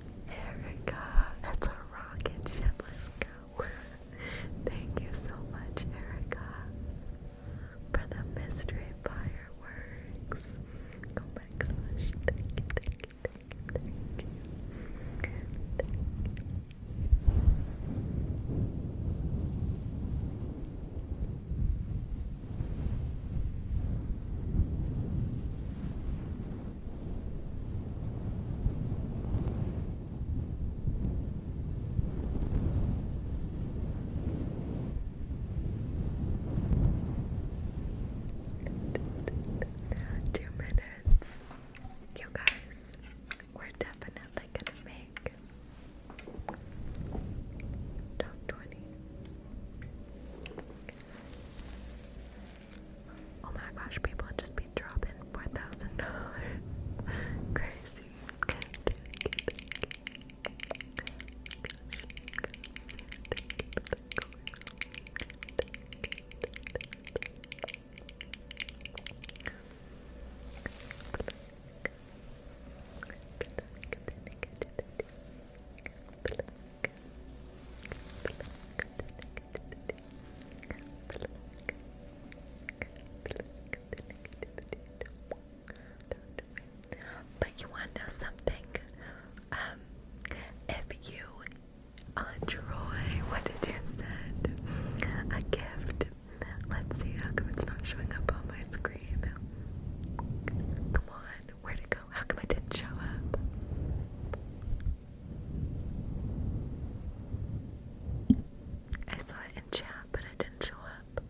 There That's a rocket ship. Let's go. *laughs* Thank you so much, Erica, for the mystery fireworks. Oh my gosh. Thank you, thank you, thank you, thank you. Two minutes. You guys, we're definitely gonna make 20. Oh my gosh, people just be dropping four thousand dollars. *laughs* Crazy. But you want to know something? Um, if you enjoy what it just said, a gift. Let's see how come it's not showing up on my screen. Come on, Where'd it go? How come it didn't show up? I saw it in chat, but it didn't show up.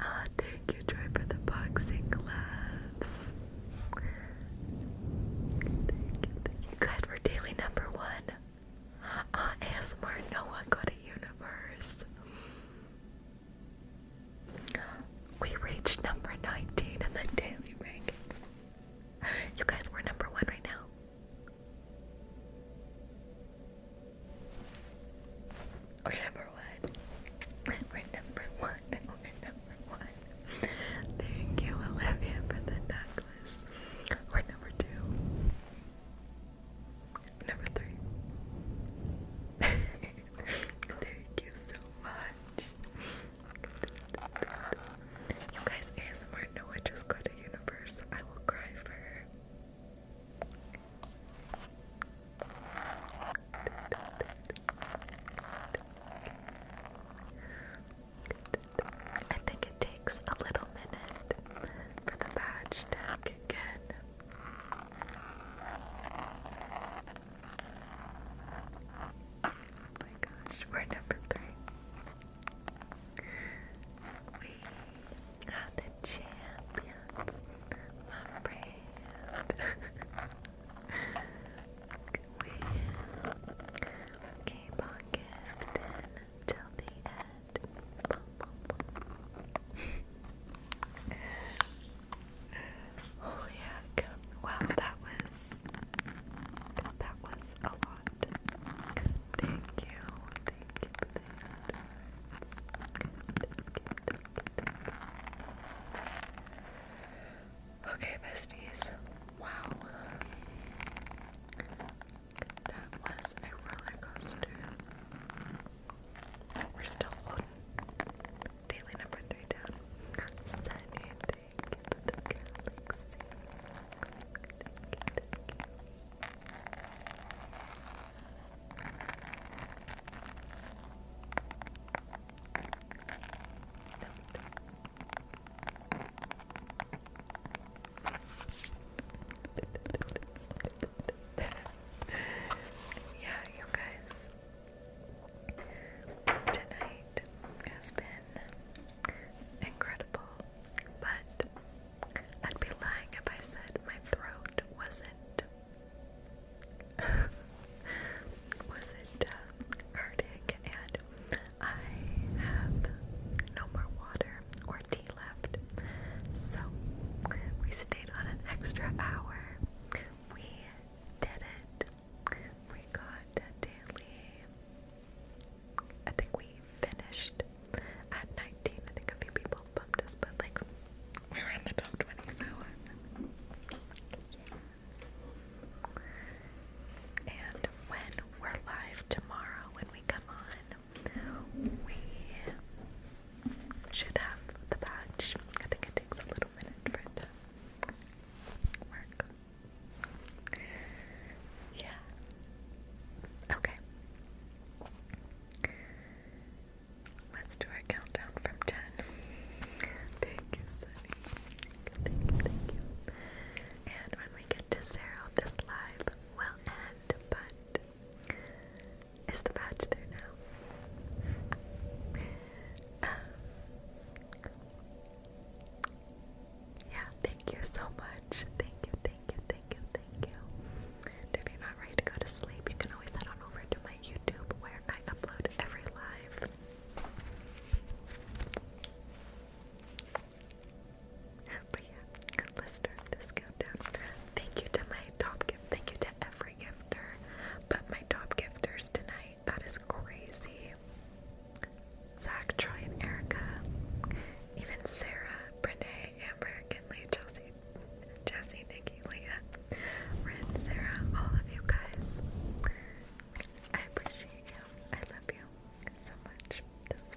Ah, thank you, Troy, for the boxing gloves. Thank you, guys were daily number one. Uh, ASMR Noah got a universe. We reached number 19 in the daily rankings. You guys, we number one right now. We're number one. We're number one. We're number one. Thank you, Olivia, for the necklace. We're number two. Number three. *laughs* Thank you so much. You guys, ASMR, no, I just got a universe. I will cry for I think it takes a little minute for the badge to kick in. Oh my gosh, we're number three. We are the champions, my friend. *laughs* we keep on gifting till the end. *laughs* Holy heck. Wow, that was that was a lot. Thank you. Okay, besties. Wow. That was a roller coaster. We're still on daily number three thank you *laughs* yeah, you guys. Tonight has been incredible, but I'd be lying if I said my throat wasn't *laughs* wasn't uh, hurting, and I have no more water or left. So we stayed on an extra hour. We did it. We got to Daly. I think we finished at 19. I think a few people bumped us, but like we were in the top 20, so And when we're live tomorrow, when we come on, we should have the patch. I think it takes a little minute for it to work. Yeah. Okay. Let's do our countdown from 10. Thank And when we get to zero, this live will end, but is the patch there now? Um, yeah, thank you so much. Thank you, thank you, thank you, thank you. if you're not ready to go to sleep, you can always head on over to my YouTube where I upload every live. Thank you to my top gift. Thank you to every gifter. But my top gifters tonight, that is crazy. Zach, Troy, and Erica. Even Sarah, Brene, Amber, Kinley, Chelsea, Jesse, Nikki, Leah, Rin, Sarah, all of you guys. I appreciate you. I love you so much. That was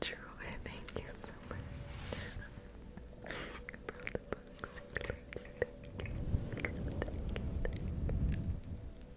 True, thank you so much. Thank you, thank thank you.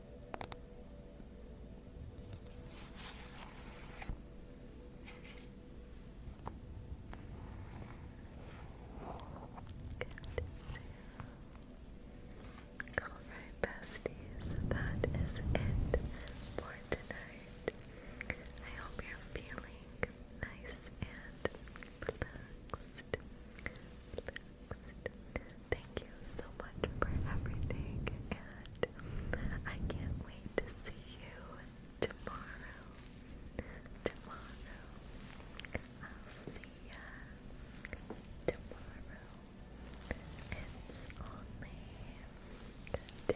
Alright, besties, that is it for tonight. I hope you're feeling nice and relaxed. Thank you so much for everything, and I can't wait to see you tomorrow. Tomorrow. I'll see ya tomorrow. It's only the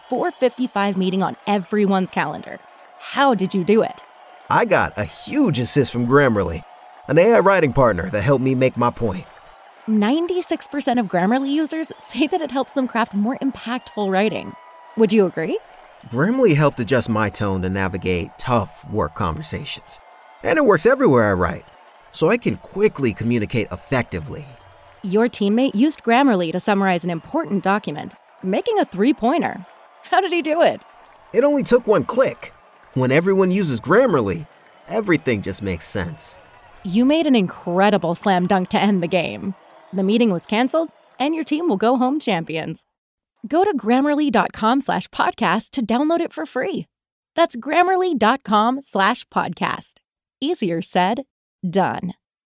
4:55 meeting on everyone's calendar. How did you do it? I got a huge assist from Grammarly, an AI writing partner that helped me make my point. 96% of Grammarly users say that it helps them craft more impactful writing. Would you agree? Grammarly helped adjust my tone to navigate tough work conversations. And it works everywhere I write, so I can quickly communicate effectively. Your teammate used Grammarly to summarize an important document, making a three pointer. How did he do it? It only took one click. When everyone uses Grammarly, everything just makes sense. You made an incredible slam dunk to end the game. The meeting was canceled, and your team will go home champions. Go to grammarly.com slash podcast to download it for free. That's grammarly.com slash podcast. Easier said, done.